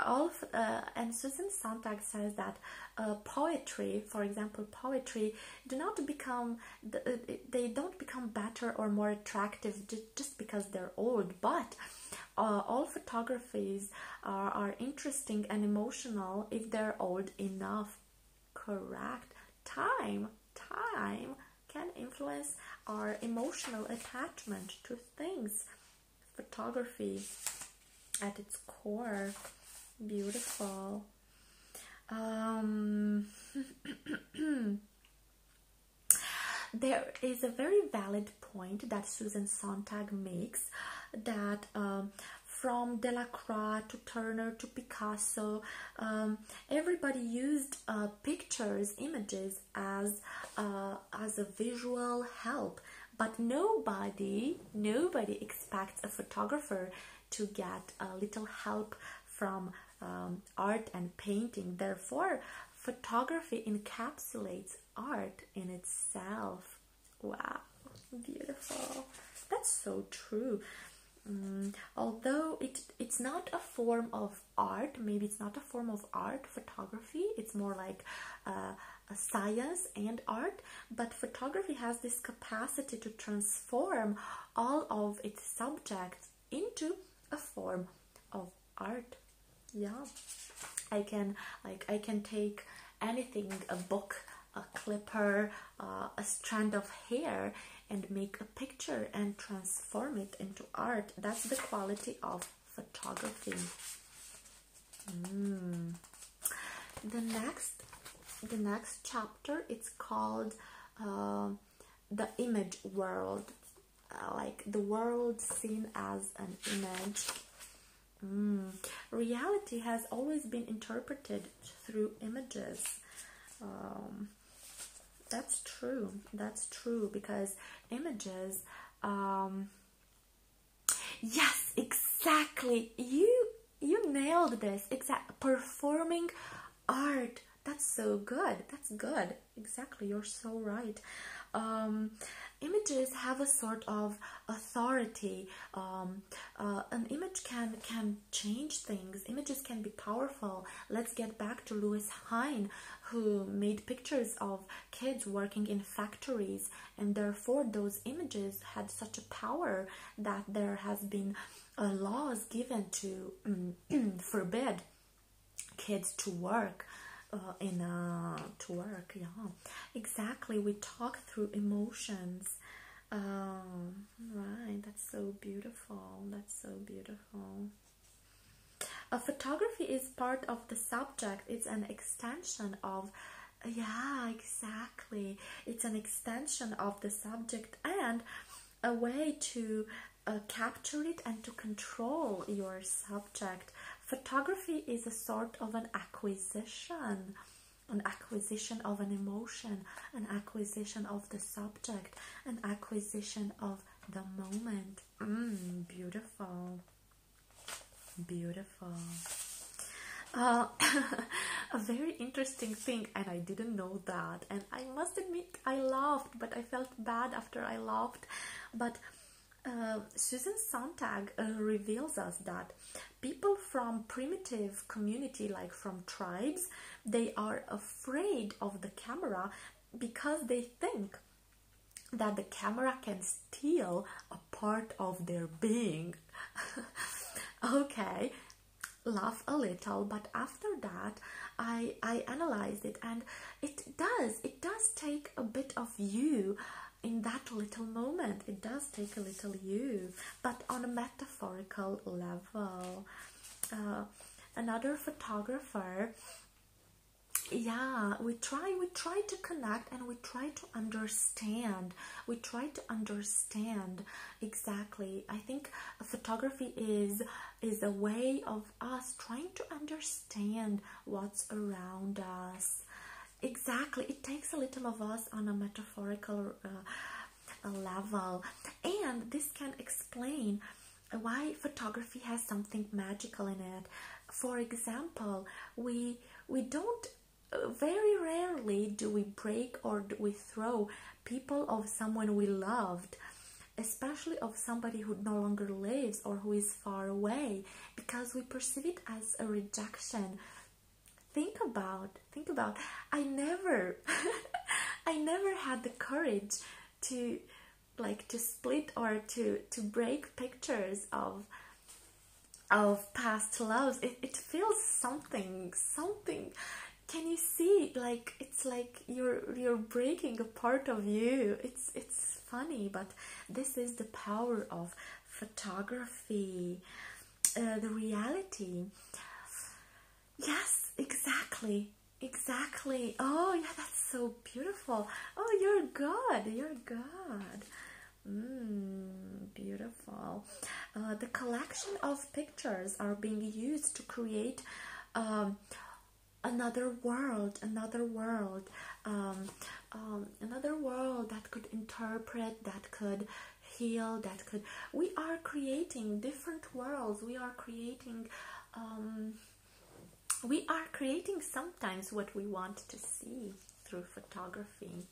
all uh, and Susan Sontag says that uh, poetry, for example, poetry, do not become uh, they don't become better or more attractive just because they're old, but uh, all photographies are, are interesting and emotional if they're old enough Correct. Time, time can influence our emotional attachment to things. Photography at its core. Beautiful. Um, there is a very valid point that Susan Sontag makes that um, from Delacroix to Turner to Picasso, um, everybody used uh, pictures, images as uh, as a visual help. But nobody, nobody expects a photographer to get a little help from um, art and painting. Therefore, photography encapsulates art in itself. Wow, beautiful. That's so true. Mm, although it it's not a form of art maybe it's not a form of art photography it's more like uh, a science and art but photography has this capacity to transform all of its subjects into a form of art yeah i can like i can take anything a book a clipper, uh, a strand of hair, and make a picture and transform it into art. That's the quality of photography. Hmm. The next, the next chapter, it's called uh, the image world, uh, like the world seen as an image. Hmm. Reality has always been interpreted through images. Um, that's true. That's true because images. Um, yes, exactly. You you nailed this. It's a performing art. That's so good. That's good. Exactly. You're so right. Um, images have a sort of authority. Uh, an image can can change things. Images can be powerful. Let's get back to Louis Hine, who made pictures of kids working in factories, and therefore those images had such a power that there has been uh, laws given to mm, forbid kids to work. Uh, in uh, to work, yeah, exactly. We talk through emotions. Um, right that's so beautiful that's so beautiful A photography is part of the subject it's an extension of yeah exactly it's an extension of the subject and a way to uh, capture it and to control your subject photography is a sort of an acquisition an acquisition of an emotion an acquisition of the subject and acquisition of the moment. Mm, beautiful. Beautiful. Uh, a very interesting thing, and I didn't know that. And I must admit, I laughed, but I felt bad after I laughed. But uh, Susan Sontag uh, reveals us that people from primitive community like from tribes they are afraid of the camera because they think that the camera can steal a part of their being okay laugh a little but after that i i analyze it and it does it does take a bit of you in that little moment it does take a little you but on a metaphorical level. Uh, another photographer yeah we try we try to connect and we try to understand we try to understand exactly i think photography is is a way of us trying to understand what's around us exactly it takes a little of us on a metaphorical uh, level and this can explain why photography has something magical in it for example we we don't very rarely do we break or we throw people of someone we loved especially of somebody who no longer lives or who is far away because we perceive it as a rejection think about Think about I never I never had the courage to like to split or to to break pictures of of past loves it, it feels something something can you see like it's like you're you're breaking a part of you it's it's funny but this is the power of photography uh, the reality Yes, exactly. Exactly. Oh, yeah, that's so beautiful. Oh, you're good. You're good. Mmm, beautiful. Uh, the collection of pictures are being used to create um, another world, another world, um, um, another world that could interpret, that could heal that could we are creating different worlds we are creating um, we are creating sometimes what we want to see through photography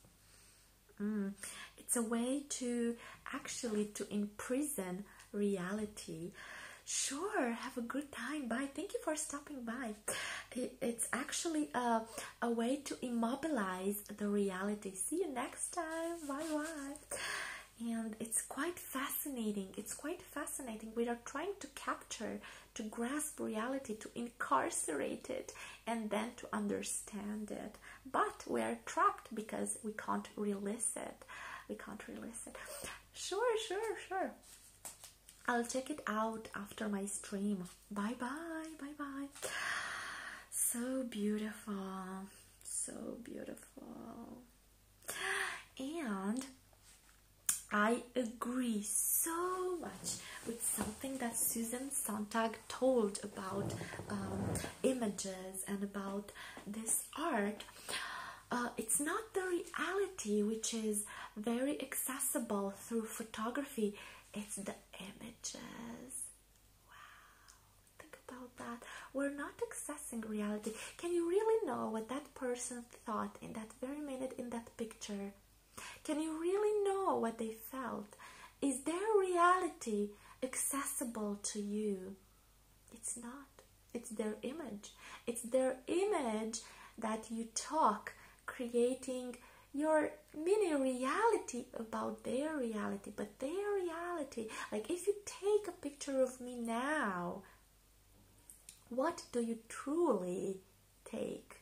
mm. it's a way to actually to imprison reality sure have a good time bye thank you for stopping by it's actually a, a way to immobilize the reality see you next time bye bye and it's quite fascinating it's quite fascinating we are trying to capture to grasp reality to incarcerate it and then to understand it but we are trapped because we can't release it we can't release it sure sure sure i'll check it out after my stream bye bye bye bye so beautiful so beautiful. And I agree so much with something that Susan Sontag told about um, images and about this art. Uh, it's not the reality which is very accessible through photography, it's the images. Wow think about that. We're not accessing reality. Can you really know what that person thought in that very minute in that picture? Can you really know what they felt? Is their reality accessible to you? It's not. It's their image. It's their image that you talk, creating your mini reality about their reality. But their reality, like if you take picture of me now. What do you truly take?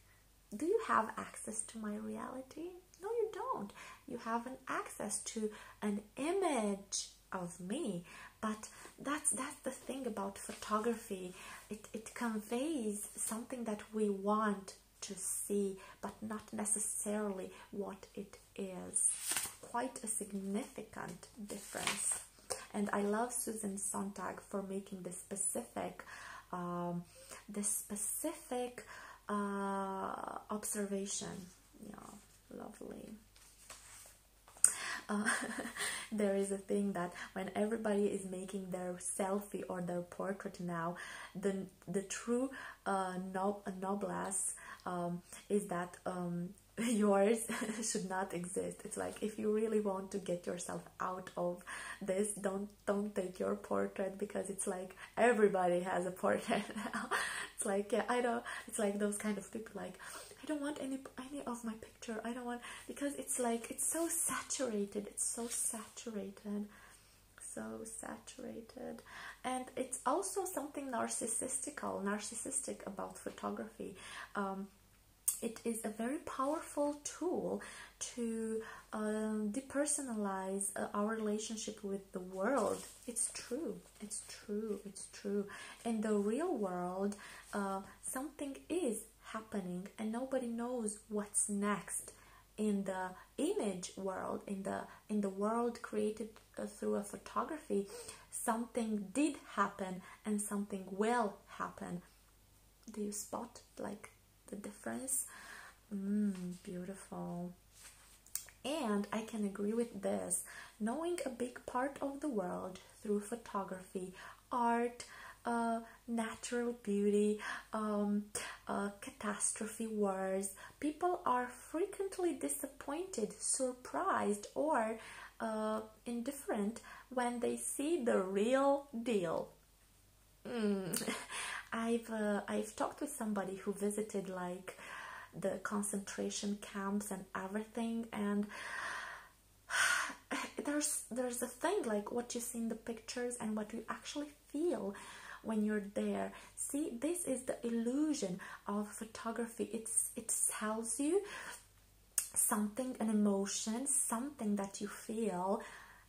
Do you have access to my reality? No, you don't. You have an access to an image of me. But that's that's the thing about photography. It it conveys something that we want to see, but not necessarily what it is quite a significant difference. And I love Susan Sontag for making the specific, um, the specific uh, observation. Yeah, lovely. Uh, there is a thing that when everybody is making their selfie or their portrait now, the the true uh, noblesse um, is that um, yours should not exist. It's like if you really want to get yourself out of this, don't don't take your portrait because it's like everybody has a portrait it's like yeah, I know. It's like those kind of people like I don't want any any of my picture. I don't want because it's like it's so saturated. It's so saturated, so saturated and it's also something narcissistical narcissistic about photography um, it is a very powerful tool to um, depersonalize uh, our relationship with the world it's true it's true it's true in the real world uh, something is happening and nobody knows what's next in the image world in the in the world created uh, through a photography something did happen and something will happen do you spot like the difference mm, beautiful and i can agree with this knowing a big part of the world through photography art uh, natural beauty, um, uh, catastrophe wars. People are frequently disappointed, sur surprised or uh, indifferent when they see the real deal. Hmm. I've uh, I've talked with somebody who visited like the concentration camps and everything, and there's there's a thing like what you see in the pictures and what you actually feel when you're there See, this is the illusion of photography. It's it sells you something, an emotion, something that you feel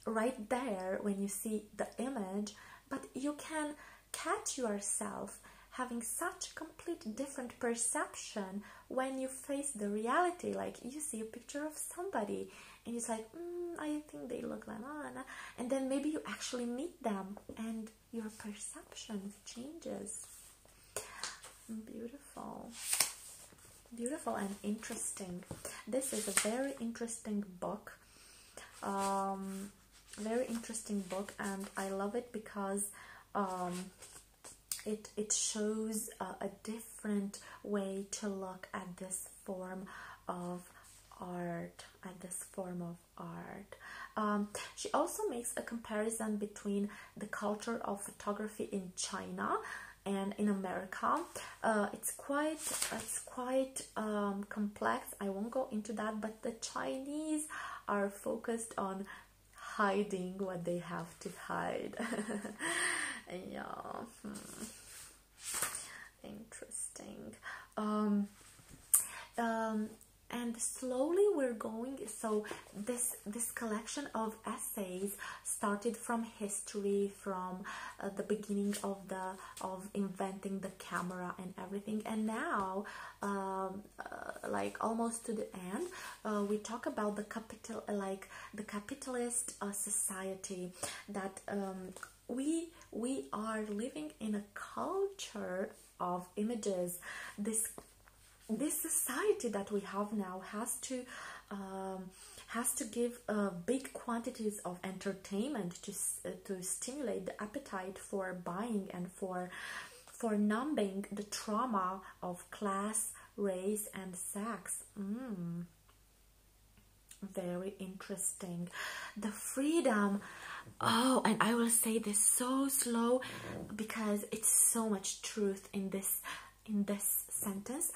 right there when you see the image, but you can catch yourself having such complete different perception when you face the reality like you see a picture of somebody and it's like mm, i think they look like that and then maybe you actually meet them and your perception changes. Beautiful. Beautiful and interesting. This is a very interesting book. Um, very interesting book, and I love it because um, it it shows a different way to look at this form of art, and this form of art. Um, she also makes a comparison between the culture of photography in China and in America. Uh, it's quite it's quite um, complex. I won't go into that, but the Chinese are focused on hiding what they have to hide. yeah, hmm. interesting. um, um and slowly we're going so this this collection of essays started from history from uh, the beginning of the of inventing the camera and everything and now um, uh, like almost to the end uh, we talk about the capital like the capitalist society that um, we we are living in a culture of images this this society that we have now has to um, has to give uh, big quantities of entertainment to uh, to stimulate the appetite for buying and for for numbing the trauma of class, race, and sex. Mm. Very interesting. The freedom Oh, and I will say this so slow mm-hmm. because it's so much truth in this in this sentence.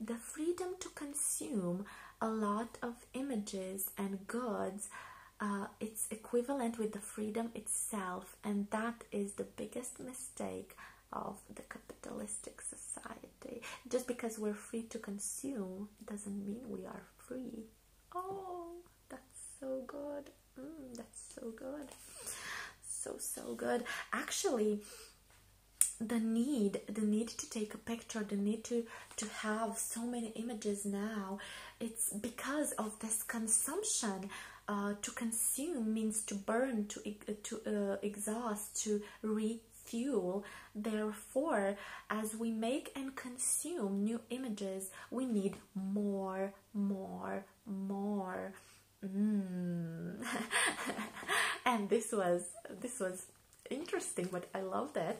The freedom to consume a lot of images and goods uh, it's equivalent with the freedom itself and that is the biggest mistake of the capitalistic society just because we're free to consume doesn't mean we are free Oh, that's so good. Mm, that's so good. So, so good. Actually, the need, the need to take a picture, the need to, to have so many images now, it's because of this consumption. Uh, to consume means to burn, to, to uh, exhaust, to refuel. Therefore, as we make and consume new images, we need more, more, more. Mm. and this was this was interesting, but I loved it.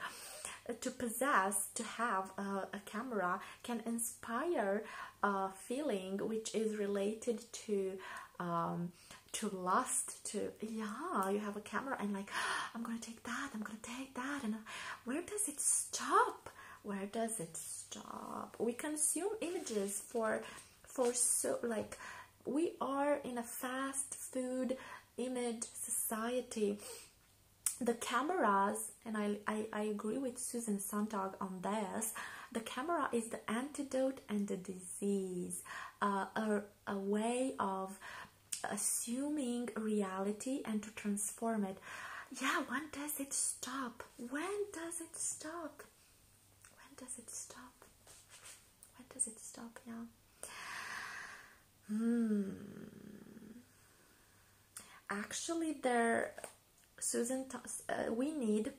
To possess, to have a, camera can inspire a feeling which is related to um, to lust. To yeah, you have a camera and like I'm gonna take that. I'm gonna take that, and where does it stop? Where does it stop? We consume images for for so like we are in a fast food image society the cameras and I, I, I agree with susan sontag on this the camera is the antidote and the disease uh, a, a way of assuming reality and to trans format. Yeah, when does it stop? When does it stop? When does it stop? When does it stop? Yeah. Hmm. Actually, there, Susan, uh, we need,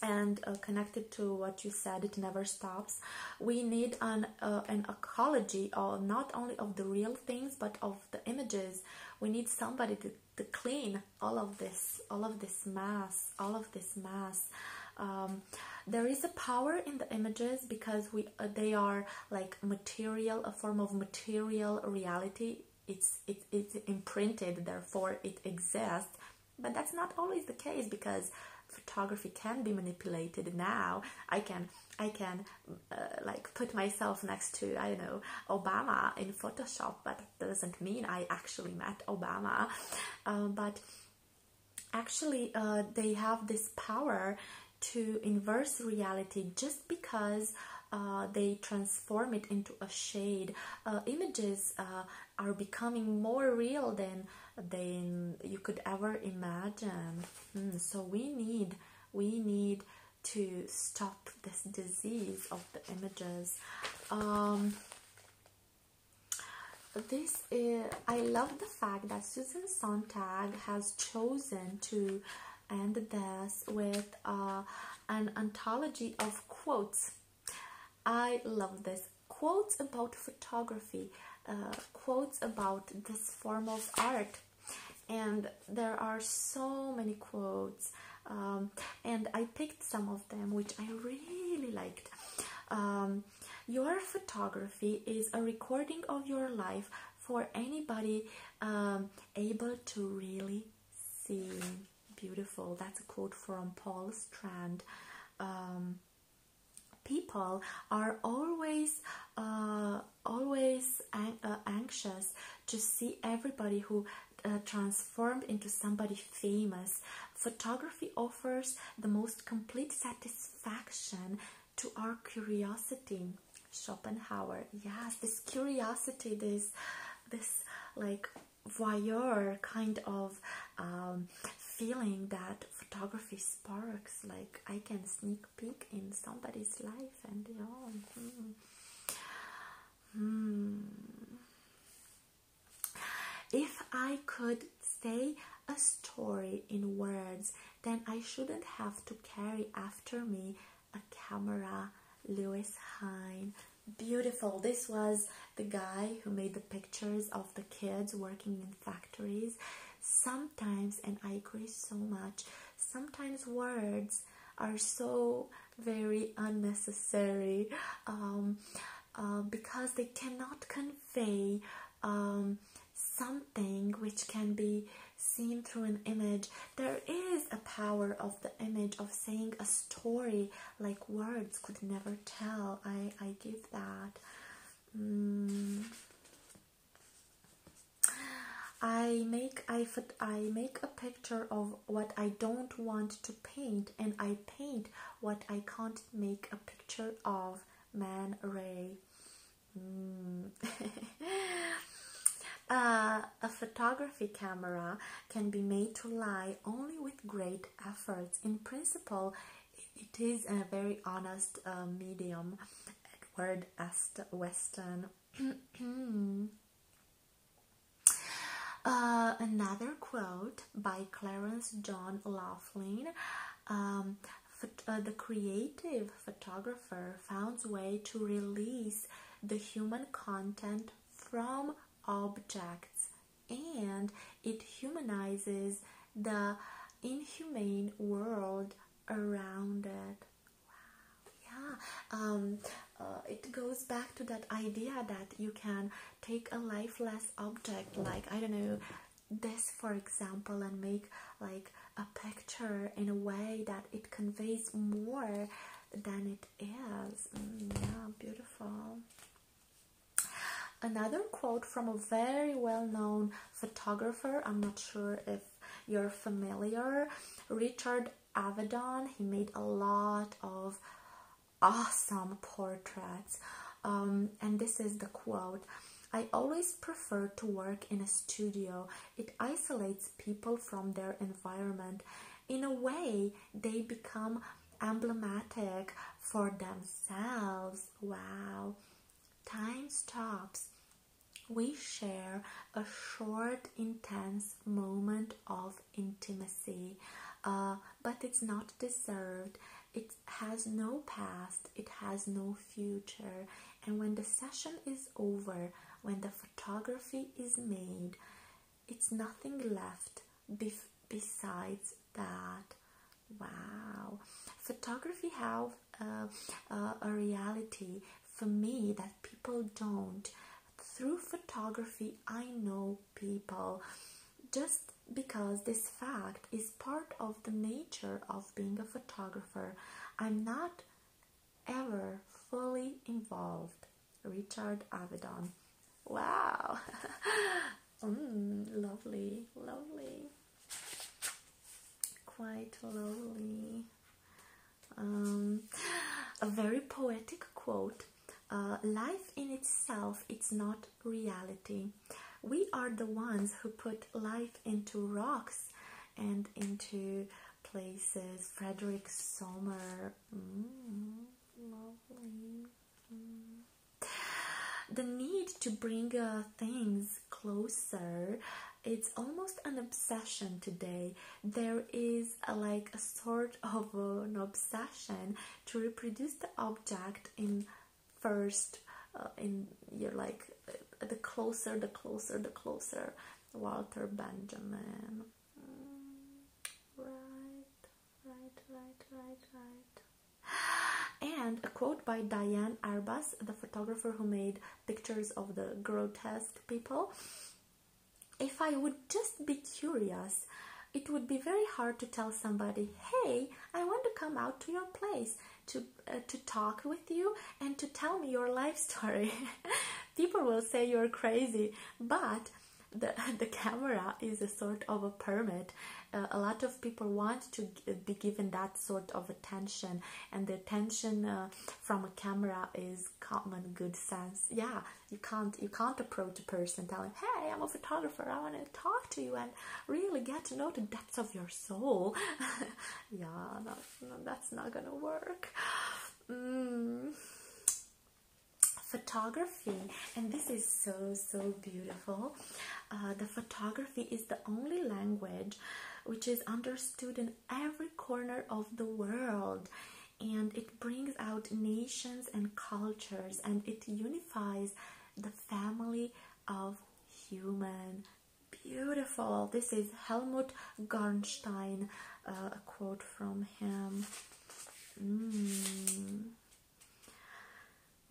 and uh, connected to what you said, it never stops. We need an uh, an ecology, of not only of the real things but of the images we need somebody to, clean all of this all of this mass all of this mass um, there is a power in the images because we uh, they are like material a form of material reality it's it, it's imprinted therefore it exists but that's not always the case because photography can be manipulated now i can i can uh, like put myself next to I don't know Obama in Photoshop, but that doesn't mean I actually met Obama. Uh, but actually, uh, they have this power to inverse reality just because. they transform it into a shade. images are becoming more real than than you could ever imagine. Hmm, so we need we need to stop this disease of the images. Um, this is, I love the fact that Susan Sontag has chosen to end this with uh, an anthology of quotes. I love this. Quotes about photography, uh, quotes about this form of art and there are so many quotes um, and i picked some of them which i really liked um, your photography is a recording of your life for anybody um, able to really see beautiful that's a quote from paul strand people are always uh, always uh, anxious to see everybody who uh, transformed into somebody famous. Photography offers the most complete satisfaction to our curiosity. Schopenhauer, yes, this curiosity, this, this like voyeur kind of um, feeling that photography sparks. Like I can sneak peek in somebody's life, and you mm-hmm. If I could say a story in words, then I shouldn't have to carry after me a camera. Lewis Hine. Beautiful. This was the guy who made the pictures of the kids working in factories. Sometimes, and I agree so much, sometimes words are so very unnecessary um, uh, because they cannot convey um, something which can be seen through an image. There is a power of the image of saying a story like words could never tell. I, I give that. Mm. I make I I make a picture of what I don't want to paint and I paint what I can't make a picture of man ray hmm. uh, a photography camera can be made to lie only with great efforts in principle it is a very honest uh, medium edward Est weston hmm. Uh, another quote by Clarence John Laughlin. Um, uh, the creative photographer founds way to release the human content from objects and it humanizes the inhumane world around it Wow. Yeah. Um, uh, it goes back to that idea that you can take a lifeless object, like I don't know, this for example, and make like a picture in a way that it conveys more than it is. Mm, yeah, beautiful. Another quote from a very well known photographer, I'm not sure if you're familiar, Richard Avedon. He made a lot of awesome portraits. Um, and this is the quote I always prefer to work in a studio, it isolates people from their environment. In a way, they become emblematic for themselves. Wow. Time stops we share a short, intense moment of intimacy, uh, but it's not deserved. It has no past, it has no future. And when the session is over, when the photography is made, it's nothing left besides that. Wow. Photography have uh, uh, a reality for me that people don't through photography, I know people just because this fact is part of the nature of being a photographer. I'm not ever fully involved. Richard Avedon. Wow! Mm, lovely, lovely. Quite lovely. Um, a very poetic quote uh, Life in itself, it's not reality. We are the ones who put life into rocks and into places. Frederick Sommer. Mm, mm. The need to bring uh, things closer. It's almost an obsession today. There is uh, like a sort of an obsession to reproduce the object in first uh, in your are like uh, the closer the closer the closer Walter Benjamin mm, right right right right right and a quote by Diane Arbus, the photographer who made pictures of the grotesque people if I would just be curious, it would be very hard to tell somebody, hey, I want to come out to your place to, uh, to talk with you and to tell me your life story. People will say you're crazy, but the, the camera is a sort of a permit. Uh, a lot of people want to be given that sort of attention, and the attention uh, from a camera is common good sense. Yeah, you can't you can't approach a person telling, "Hey, I'm a photographer. I want to talk to you and really get to know the depths of your soul." yeah, no, that's not gonna work. Mm. Photography, and this is so so beautiful. Uh, the photography is the only language which is understood in every corner of the world and it brings out nations and cultures and it unifies the family of human. Beautiful. This is Helmut Garnstein, uh, a quote from him. Mm.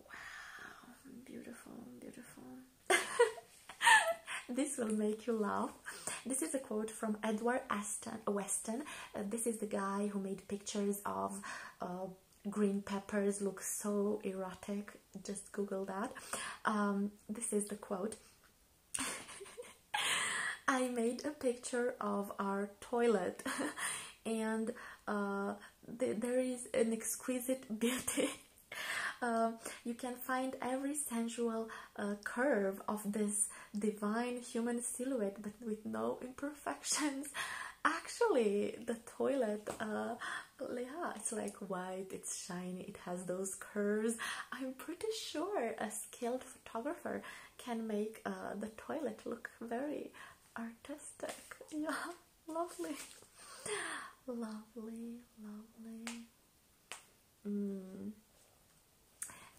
Wow, beautiful, beautiful. this will make you laugh This is a quote from Edward uh, Weston. Uh, this is the guy who made pictures of uh, green peppers look so erotic. Just Google that. Um, this is the quote. I made a picture of our toilet and there is an exquisite beauty. you can find every sensual a curve of this divine human silhouette but with no imperfections actually the toilet uh yeah it's like white it's shiny it has those curves i'm pretty sure a skilled photographer can make uh, the toilet look very artistic yeah lovely lovely lovely Mm.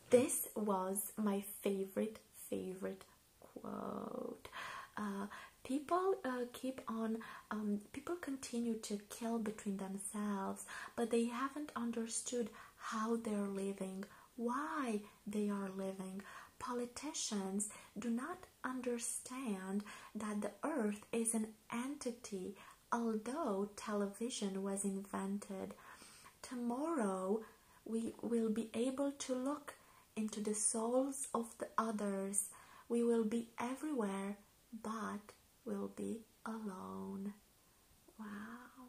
This was my favorite, favorite quote. Uh, people uh, keep on, um, people continue to kill between themselves, but they haven't understood how they're living, why they are living. Politicians do not understand that the earth is an entity Although television was invented, tomorrow we will be able to look into the souls of the others. We will be everywhere, but will be alone. Wow.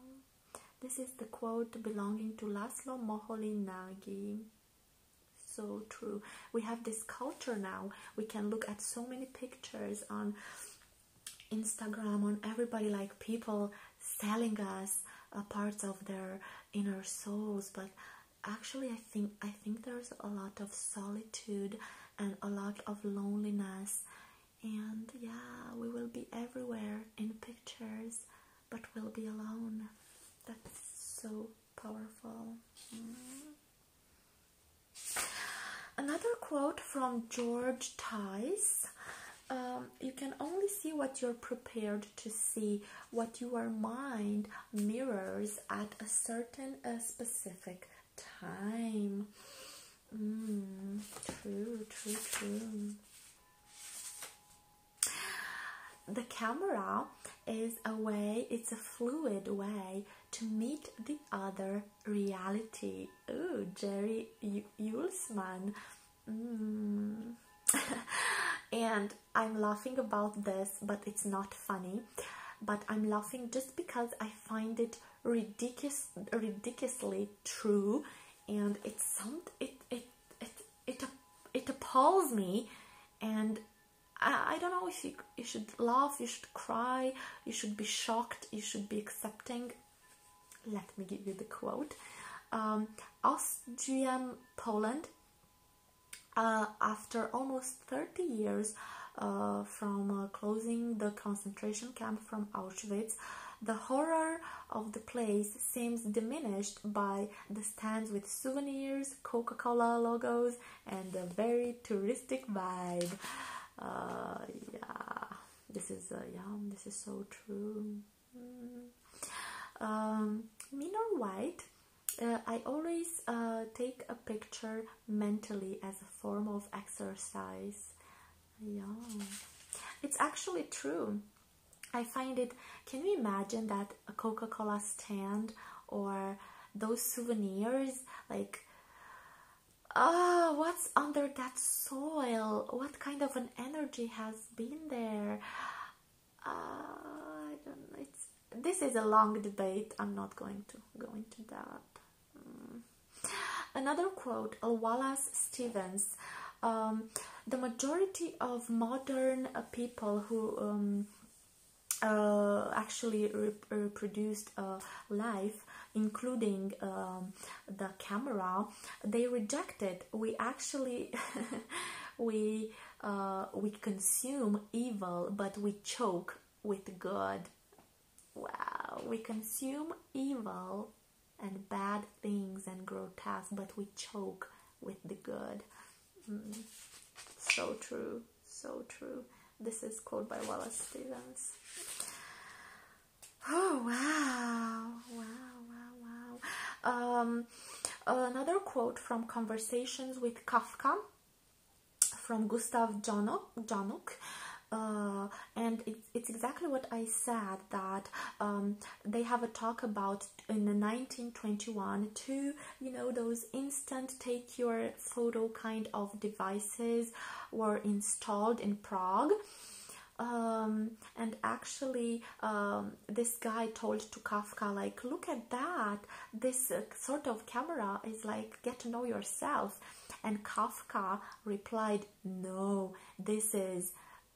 This is the quote belonging to Laszlo Moholy-Nagy. So true. We have this culture now. We can look at so many pictures on Instagram, on everybody, like people selling us a uh, parts of their inner souls. But actually, I think I think there's a lot of solitude and a lot of loneliness. And yeah, we will be everywhere in pictures, but we'll be alone. That's so powerful. Hmm. Another quote from George Tice um, you can only see what you're prepared to see, what your mind mirrors at a certain, specific time. Mm, true, true, true. The camera is a way, it's a fluid way to meet the other reality. Oh, Jerry Yulesman. Mm. and I'm laughing about this, but it's not funny. But I'm laughing just because I find it ridiculous, ridiculously true, and it's some it it it it it appalls me, and I, I don't know if you you should laugh, you should cry, you should be shocked, you should be accepting. Let me give you the quote. Auschwitz um, Austrian Poland, uh, after almost 30 years uh, from uh, closing the concentration camp from Auschwitz, the horror of the place seems diminished by the stands with souvenirs, Coca Cola logos, and a very touristic vibe. yeah. This is uh, This is so true. Mm. Um, Minor White. Uh, I always uh, take a picture mentally as a form of exercise. Yeah, it's actually true. I find it. Can you imagine that a Coca Cola stand or those souvenirs like oh, what's under that soil? What kind of an energy has been there? Uh, It's, this is a long debate. I'm not going to go into that. Mm. Another quote, Wallace Stevens. Um, the majority of modern people who um, uh, actually rep reproduced uh, life including um, the camera, they rejected. We actually we uh, we consume evil, but we choke with good. Wow, we consume evil and bad things and grotesque, but we choke with the good. Mm. So true, so true. This is quote by Wallace Stevens. Oh wow, wow, wow, wow. Um, another quote from Conversations with Kafka from Gustav Januk. Uh, and it, it's exactly what I said that um, they have a talk about in 1921 to you know those instant take your photo kind of devices were installed in Prague um, and actually um, this guy told to kafka like look at that this uh, sort of camera is like get to know yourself and kafka replied no this is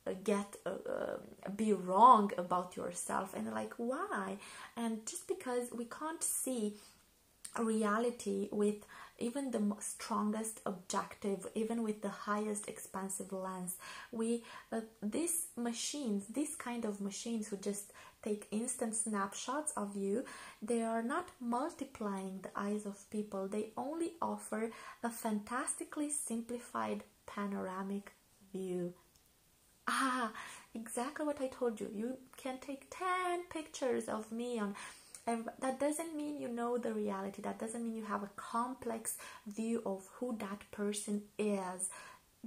uh, get uh, be wrong about yourself and like why and just because we can't see reality with even the strongest objective, even with the highest expensive lens, we uh, these machines, this kind of machines who just take instant snapshots of you, they are not multiplying the eyes of people. They only offer a fantastically simplified panoramic view. Ah, exactly what I told you. You can take 10 pictures of me on and that doesn't mean you know the reality, that doesn't mean you have a complex view of who that person is.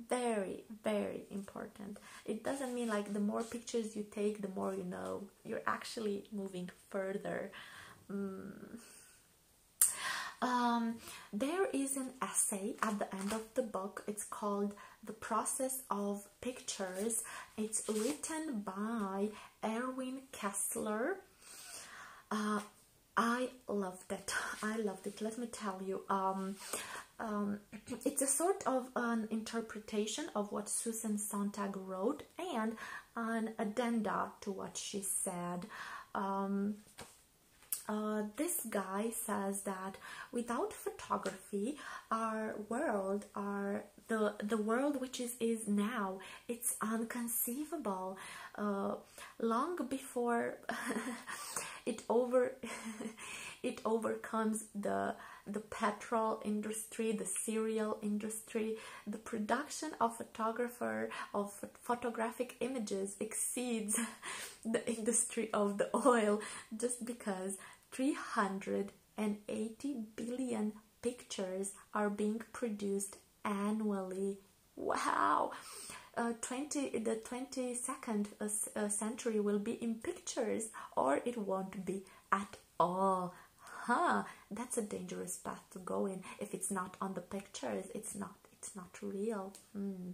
Very, very important. It doesn't mean like the more pictures you take, the more you know. You're actually moving further. Mm. Um, there is an essay at the end of the book. It's called The Process of Pictures. It's written by Erwin Kessler uh, I loved it. I loved it. Let me tell you. Um, um, it's a sort of an interpretation of what Susan Sontag wrote and an addenda to what she said. Um, uh, this guy says that without photography, our world, our the the world which is is now, it's unconceivable uh, long before it over it overcomes the the petrol industry the cereal industry the production of photographer of photographic images exceeds the industry of the oil just because 380 billion pictures are being produced annually. Wow! Uh, 20, the 22nd uh, uh, century will be in pictures or it won't be at all. Huh, that's a dangerous path to go in. If it's not on the pictures, it's not, it's not real. Hmm.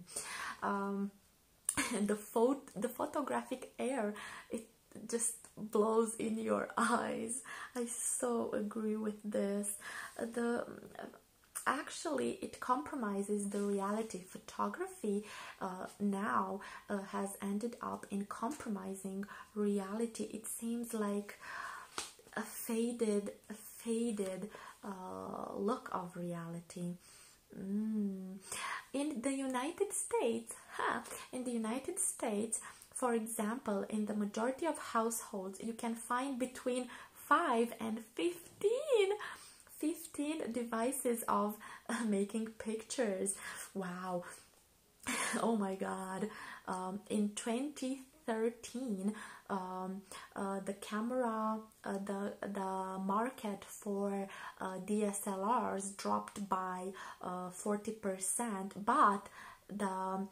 Um, the, pho the photographic air, it just blows in your eyes. I so agree with this the actually it compromises the reality photography uh, now uh, has ended up in compromising reality it seems like a faded faded uh, look of reality mm. in the united states in the united states for example, in the majority of households, you can find between 5 and 15 devices of making pictures. Wow. oh my god. Um, in 2013, um, uh, the camera, uh, the, the market for uh, DSLRs dropped by 40%, but the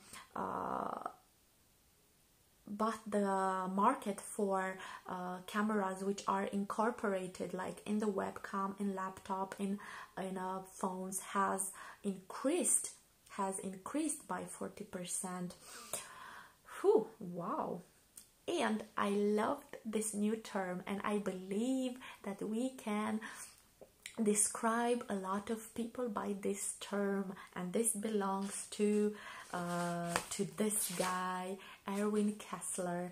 but the market for uh, cameras which are incorporated like in the webcam in laptop in in uh, phones has increased has increased by 40% Whew, wow and i loved this new term and i believe that we can describe a lot of people by this term and this belongs to uh, to this guy Erwin Kessler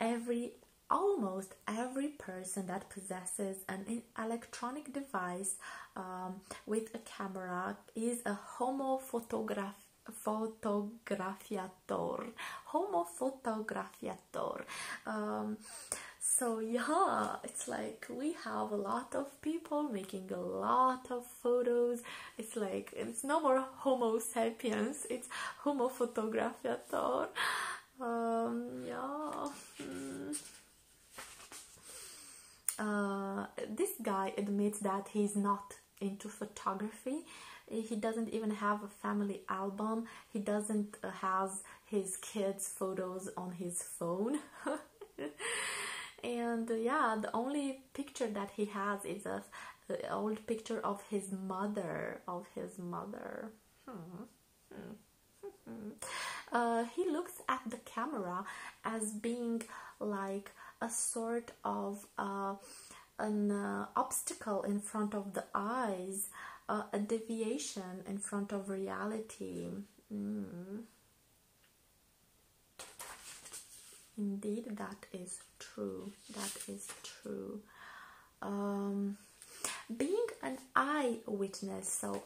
every almost every person that possesses an electronic device um, with a camera is a homo photograph fotografiator homo fotografiator um, so yeah it's like we have a lot of people making a lot of photos it's like it's no more homo sapiens it's homo fotografiator um, yeah hmm. uh, this guy admits that he's not into photography he doesn't even have a family album he doesn't have his kids' photos on his phone. and uh, yeah, the only picture that he has is a old picture of his mother of his mother hmm. Hmm. Hmm. Uh, he looks at the camera as being like a sort of uh, an obstacle in front of the eyes a deviation in front of reality Mm-hmm. Indeed, that is true. That is true. Um, being an eyewitness, so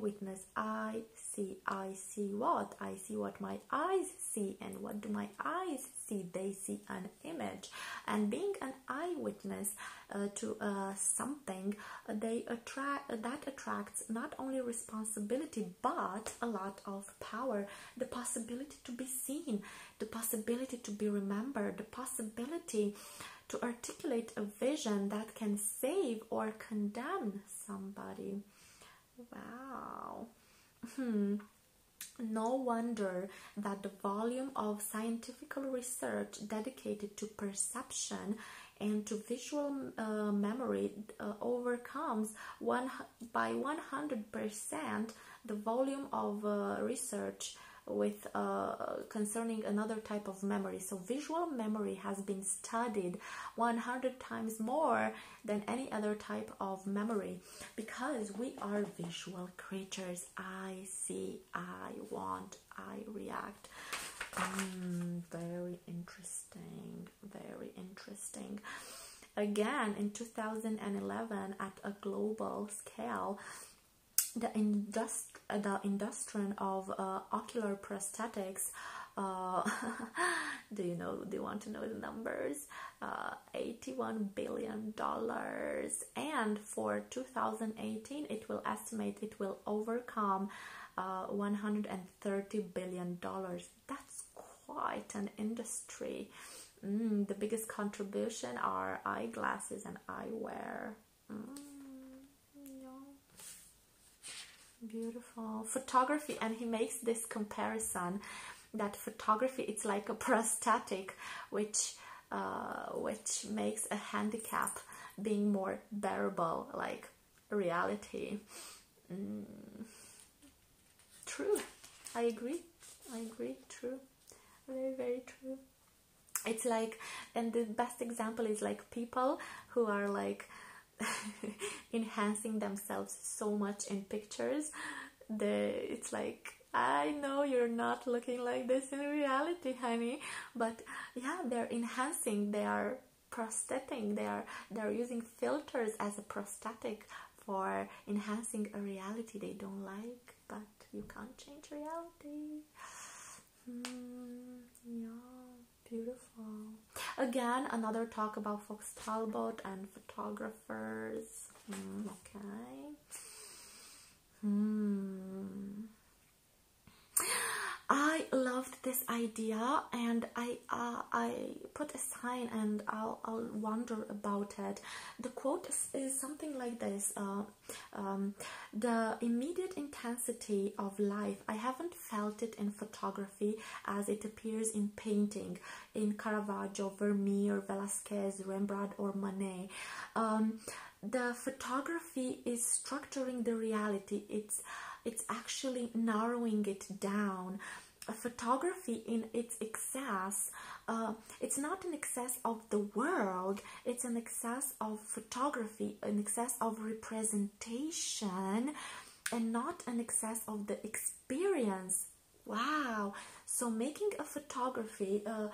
witness, I see, I see what? I see what my eyes see, and what do my eyes see? They see an image. And being an eyewitness, uh, to uh, something, uh, they attract that attracts not only responsibility but a lot of power, the possibility to be seen, the possibility to be remembered, the possibility to articulate a vision that can save or condemn somebody. Wow. Hmm. No wonder that the volume of scientific research dedicated to perception and to visual uh, memory uh, overcomes one by 100% the volume of uh, research with concerning another type of memory so visual memory has been studied 100 times more than any other type of memory because we are visual creatures i see i want I react? Um, very interesting, very interesting. Again, in 2011, at a global scale, the, industri the industry of uh, ocular prosthetics uh, do you know do you want to know the numbers uh, 81 billion dollars and for 2018 it will estimate will overcome uh, 130 billion dollars. That's quite an industry. Mm, the biggest contribution are eyeglasses and eyewear. Mm, Beautiful photography, and he makes this comparison that photography it's like a prosthetic, which uh, which makes a handicap being more bearable, like reality. Mm. true. I agree. I agree. True. Very, very true. It's like, and the best example is like people who are like enhancing themselves so much in pictures. The it's like I know you're not looking like this in reality, honey but yeah they're enhancing they are prosthetic they are they're using filters as a prosthetic for enhancing a reality they don't like but you can't change reality hmm, yeah beautiful again another talk about fox talbot and photographers hmm, okay mm. I loved this idea and I uh, I put a sign and I'll, I'll wonder about it. The quote is, something like this. Uh, um, the immediate intensity of life, I haven't felt it in photography as it appears in painting, in Caravaggio, Vermeer, Velázquez, Rembrandt or Monet." Um, the photography is structuring the reality it's it's actually narrowing it down photography in its excess uh, it's not an excess of the world it's an excess of photography an excess of representation and not an excess of the experience wow so making a photography uh,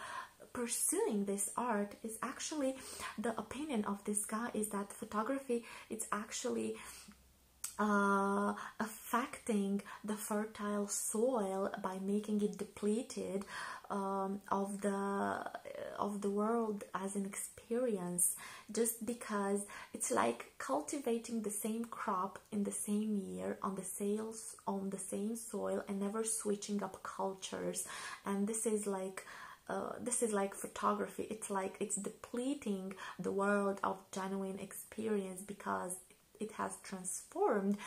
pursuing this art is actually the opinion of this guy is that photography it's actually uh, affecting the fertile soil by making it depleted um, of the uh, of the world as an experience just because it's like cultivating the same crop in the same year on the sales on the same soil and never switching up cultures and this is like uh, this is like photography it's like it's depleting the world of genuine experience because it has transformed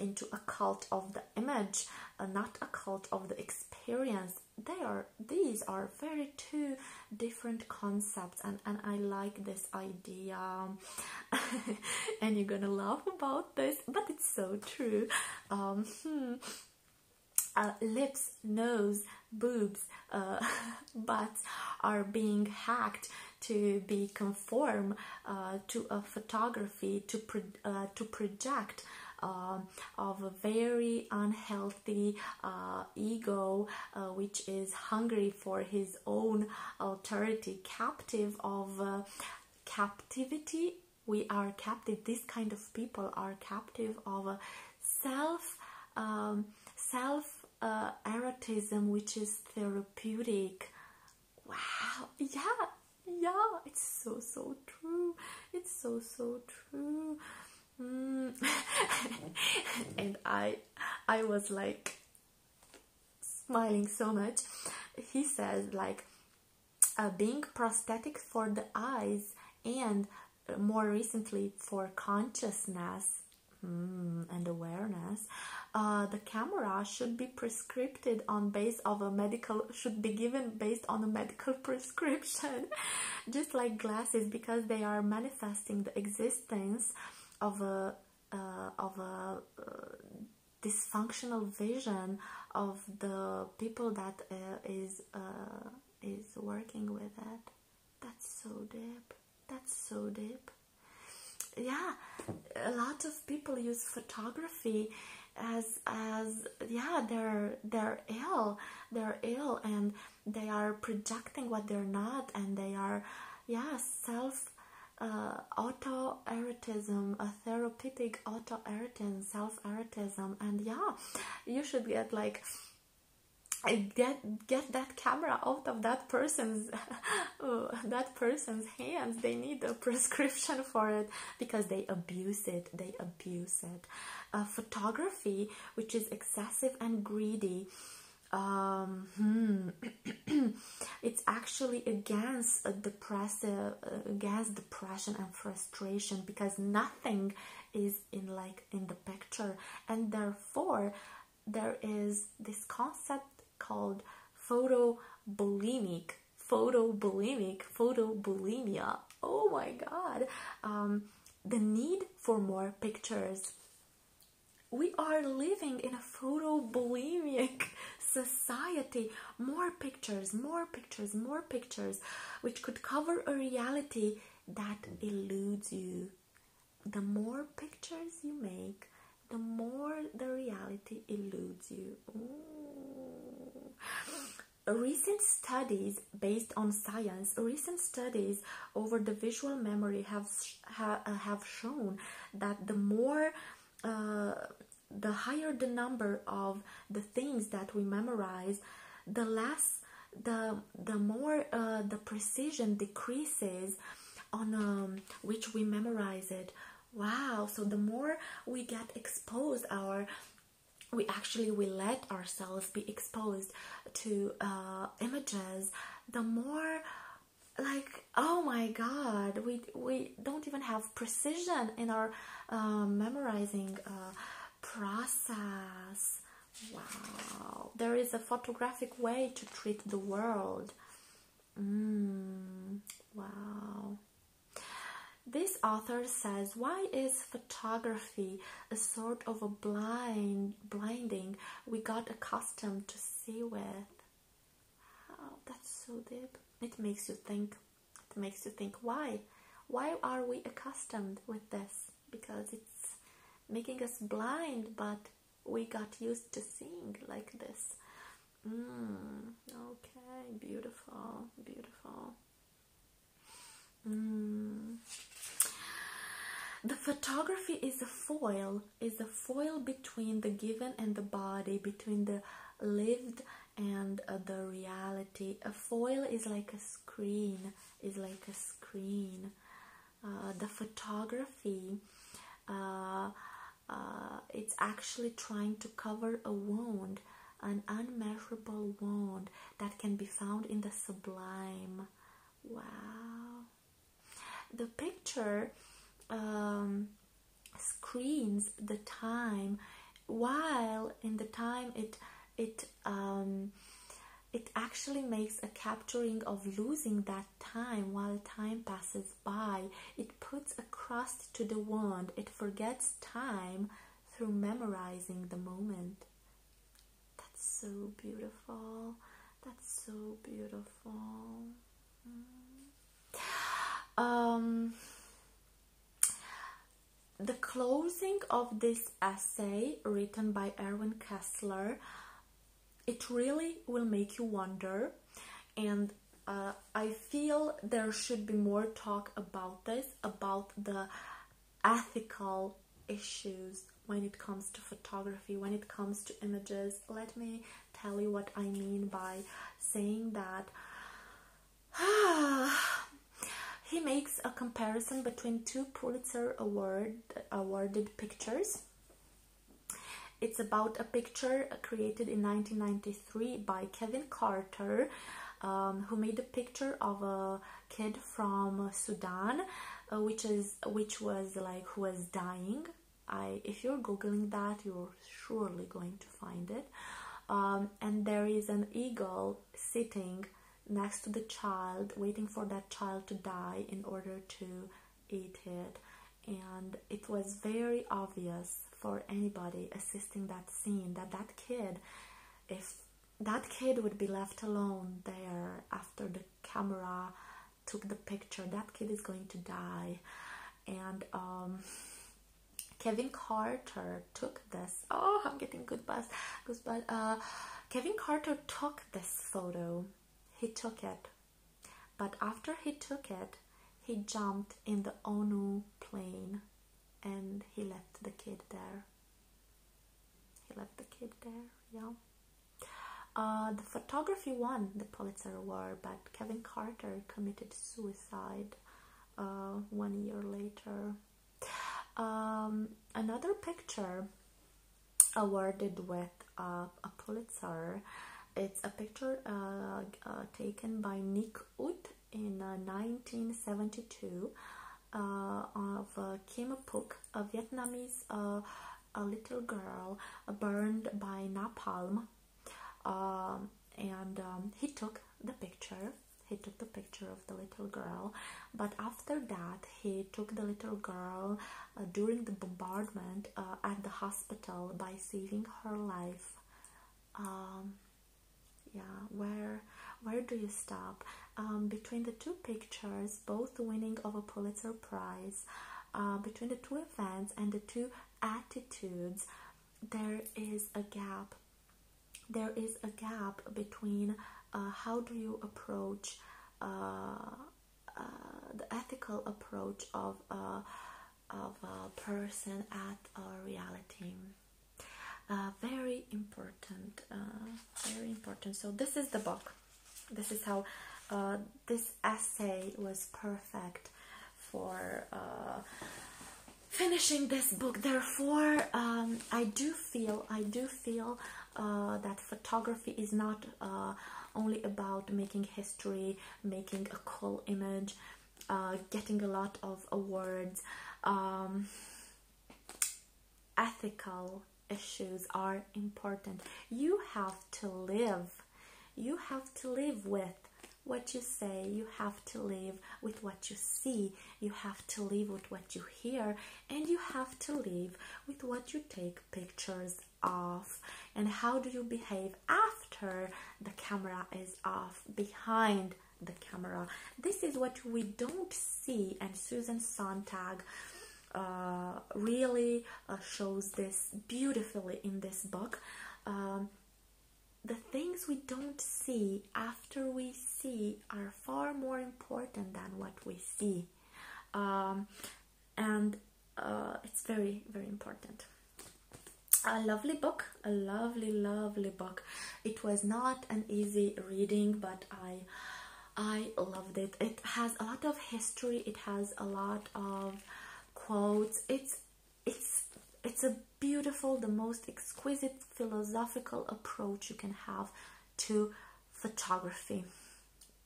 into a cult of the image uh, not a cult of the experience they are these are very two different concepts and and i like this idea and you're gonna laugh about this but it's so true um, hmm. Uh, lips, nose, boobs, uh, butts are being hacked to be conform uh, to a photography to pro to project um, of a very unhealthy ego which is hungry for his own authority, captive of captivity we are captive this kind of people are captive of self um, self uh, erotism which is therapeutic wow yeah yeah it's so so true it's so so true mm. and i i was like smiling so much he says like being prosthetic for the eyes and uh, more recently for consciousness mm, and awareness uh, the camera should be prescribed on base of a medical should be given based on a medical prescription just like glasses because they are manifesting the existence of a uh, of a dysfunctional vision of the people that is is working with it. That's so deep. That's so deep. Yeah, a lot of people use photography as as yeah they're they're ill they're ill and they are projecting what they're not and they are yeah self uh, auto erotism a therapeutic auto self erotism and yeah, you should get like get get that camera out of that person's that person's hands they need a prescription for it because they abuse it they abuse it uh, photography which is excessive and greedy um, hmm, it's actually against depressive against depression and frustration because nothing is in like in the picture and therefore there is this concept called photo bulimic photo bulimic photo bulimia oh my god um, the need for more pictures we are living in a photo bulimic society more pictures more pictures more pictures which could cover a reality that eludes you. The more pictures you make, the more the reality eludes you. Recent studies based on science, recent studies over the visual memory have uh, have shown that the more uh, the higher the number of the things that we memorize, the less the the more uh, the precision decreases on um, which we memorize it. Wow! So the more we get exposed, our we actually we let ourselves be exposed to uh, images. The more like oh my god we we don't even have precision in our uh, memorizing process. Wow, there is a photographic way to treat the world. Mm, wow. This author says, why is photography a sort of a blind blinding we got accustomed to see with? Oh, that's so deep. It makes you think. It makes you think why why are we accustomed with this because it's making us blind but we got used to seeing like this mm, okay beautiful beautiful mm. the photography is a foil is a foil between the given and the body between the lived and the reality a foil is like a screen is like a screen. Uh, the photography uh, uh, it's actually trying to cover a wound, an unmeasurable wound that can be found in the sublime. Wow. The picture um, screens the time while in the time it it um, it actually makes a capturing of losing that time while time passes by. It puts a crust to the wand. It forgets time through memorizing the moment. That's so beautiful. That's so beautiful. Mm. Um, the closing of this essay written by Erwin Kessler, it really will make you wonder. And uh, I feel there should be more talk about this, about the ethical issues when it comes to photography, when it comes to images. Let me tell you what I mean by saying that. He makes a comparison between two Pulitzer Award awarded pictures. It's about a picture created in 1993 by Kevin Carter, um, who made a picture of a kid from Sudan, uh, which is which was like who was dying. I if you're googling that, you're surely going to find it. Um, and there is an eagle sitting next to the child, waiting for that child to die in order to eat it. And it was very obvious for anybody assisting that scene that that kid, if that kid would be left alone there after the camera took the picture, that kid is going to die. And um, Kevin Carter took this. Oh, I'm getting good buzz. Goosebuzz. Uh, Kevin Carter took this photo. He took it, but after he took it, he jumped in the ONU plane, and he left the kid there. He left the kid there. Yeah. Uh, the photography won the Pulitzer Award, but Kevin Carter committed suicide uh, one year later. Um, another picture awarded with uh, a Pulitzer. It's a picture uh, uh taken by Nick Ut in 1972 uh, uh, of Kim Puk, a Vietnamese a little girl burned by napalm. Um, and um, he took the picture he took the picture of the little girl but after that he took the little girl uh, during the bombardment uh, at the hospital by saving her life um, yeah where where do you stop um, between the two pictures both winning of a pulitzer prize uh, between the two events and the two attitudes there is a gap there is a gap between uh, how do you approach uh, uh, the ethical approach of of a person at a reality. very important, very important. So this is the book. This is how this essay was perfect for finishing this book. Therefore, um, I do feel I do feel uh, that photography is not uh, only about making history, making a cool image, uh, getting a lot of awards. Um, ethical issues are important. You have to live. You have to live with what you say. You have to live with what you see. You have to live with what you hear here and you have to live with what you take pictures of and how do you behave after the camera is off behind the camera this is what we don't see and susan sontag uh, really uh, shows this beautifully in this book um, the things we don't see after we see our far more important than what we see um, and uh, it's very very important a lovely book a lovely lovely book it was not an easy reading but i i loved it it has a lot of history it has a lot of quotes it's it's it's a beautiful the most exquisite philosophical approach you can have to photography.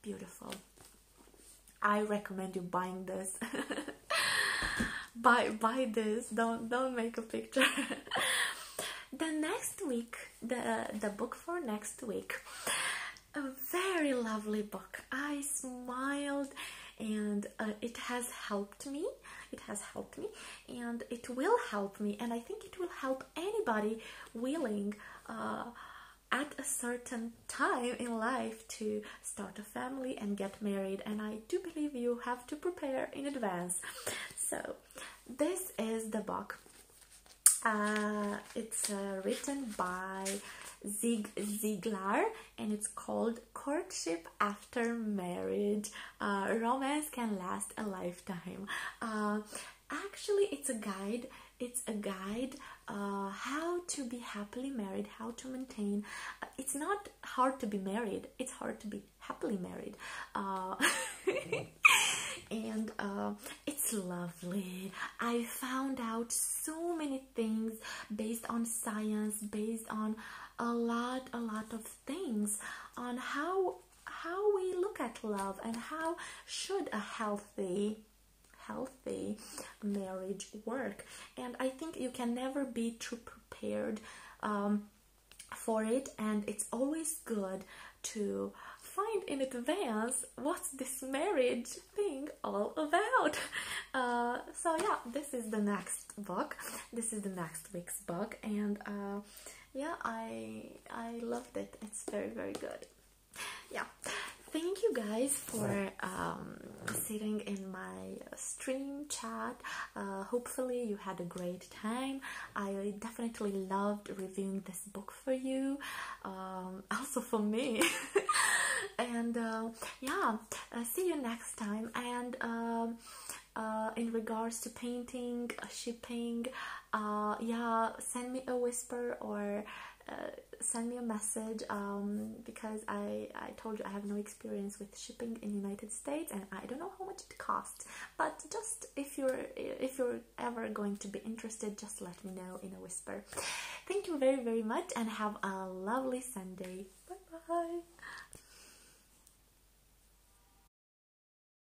Beautiful. I recommend you buying this. buy buy this. Don't don't make a picture. the next week, the the book for next week. A very lovely book. I smiled and uh, it has helped me. It has helped me and it will help me and i think it will help anybody willing uh, at a certain time in life to start a family and get married and i do believe you have to prepare in advance so this is the book uh, it's uh, written by Zig Ziglar and it's called Courtship After Marriage Romance Can Last a Lifetime actually it's a guide it's a guide uh, how to be happily married how to maintain uh, it's not hard to be married it's hard to be happily married uh, and uh, it's lovely i found out so many things based on science based on a lot a lot of things on how how we look at love and how should a healthy healthy marriage work and i think you can never be too prepared um, for it and it's always good to find in advance what's this marriage thing all about uh, so yeah this is the next book this is the next week's book and uh, yeah i I loved it. It's very very good. Yeah, thank you guys for um, sitting in my stream chat. Uh, hopefully you had a great time. I definitely loved reviewing this book for you, um, also for me. and uh, yeah, uh, see you next time. And. Um, in regards to painting, shipping, uh, yeah, send me a whisper or uh, send me a message um, because I, I told you I have no experience with shipping in United States and I don't know how much it costs. But just if you're if you're ever going to be interested, just let me know in a whisper. Thank you very very much and have a lovely Sunday. Bye bye.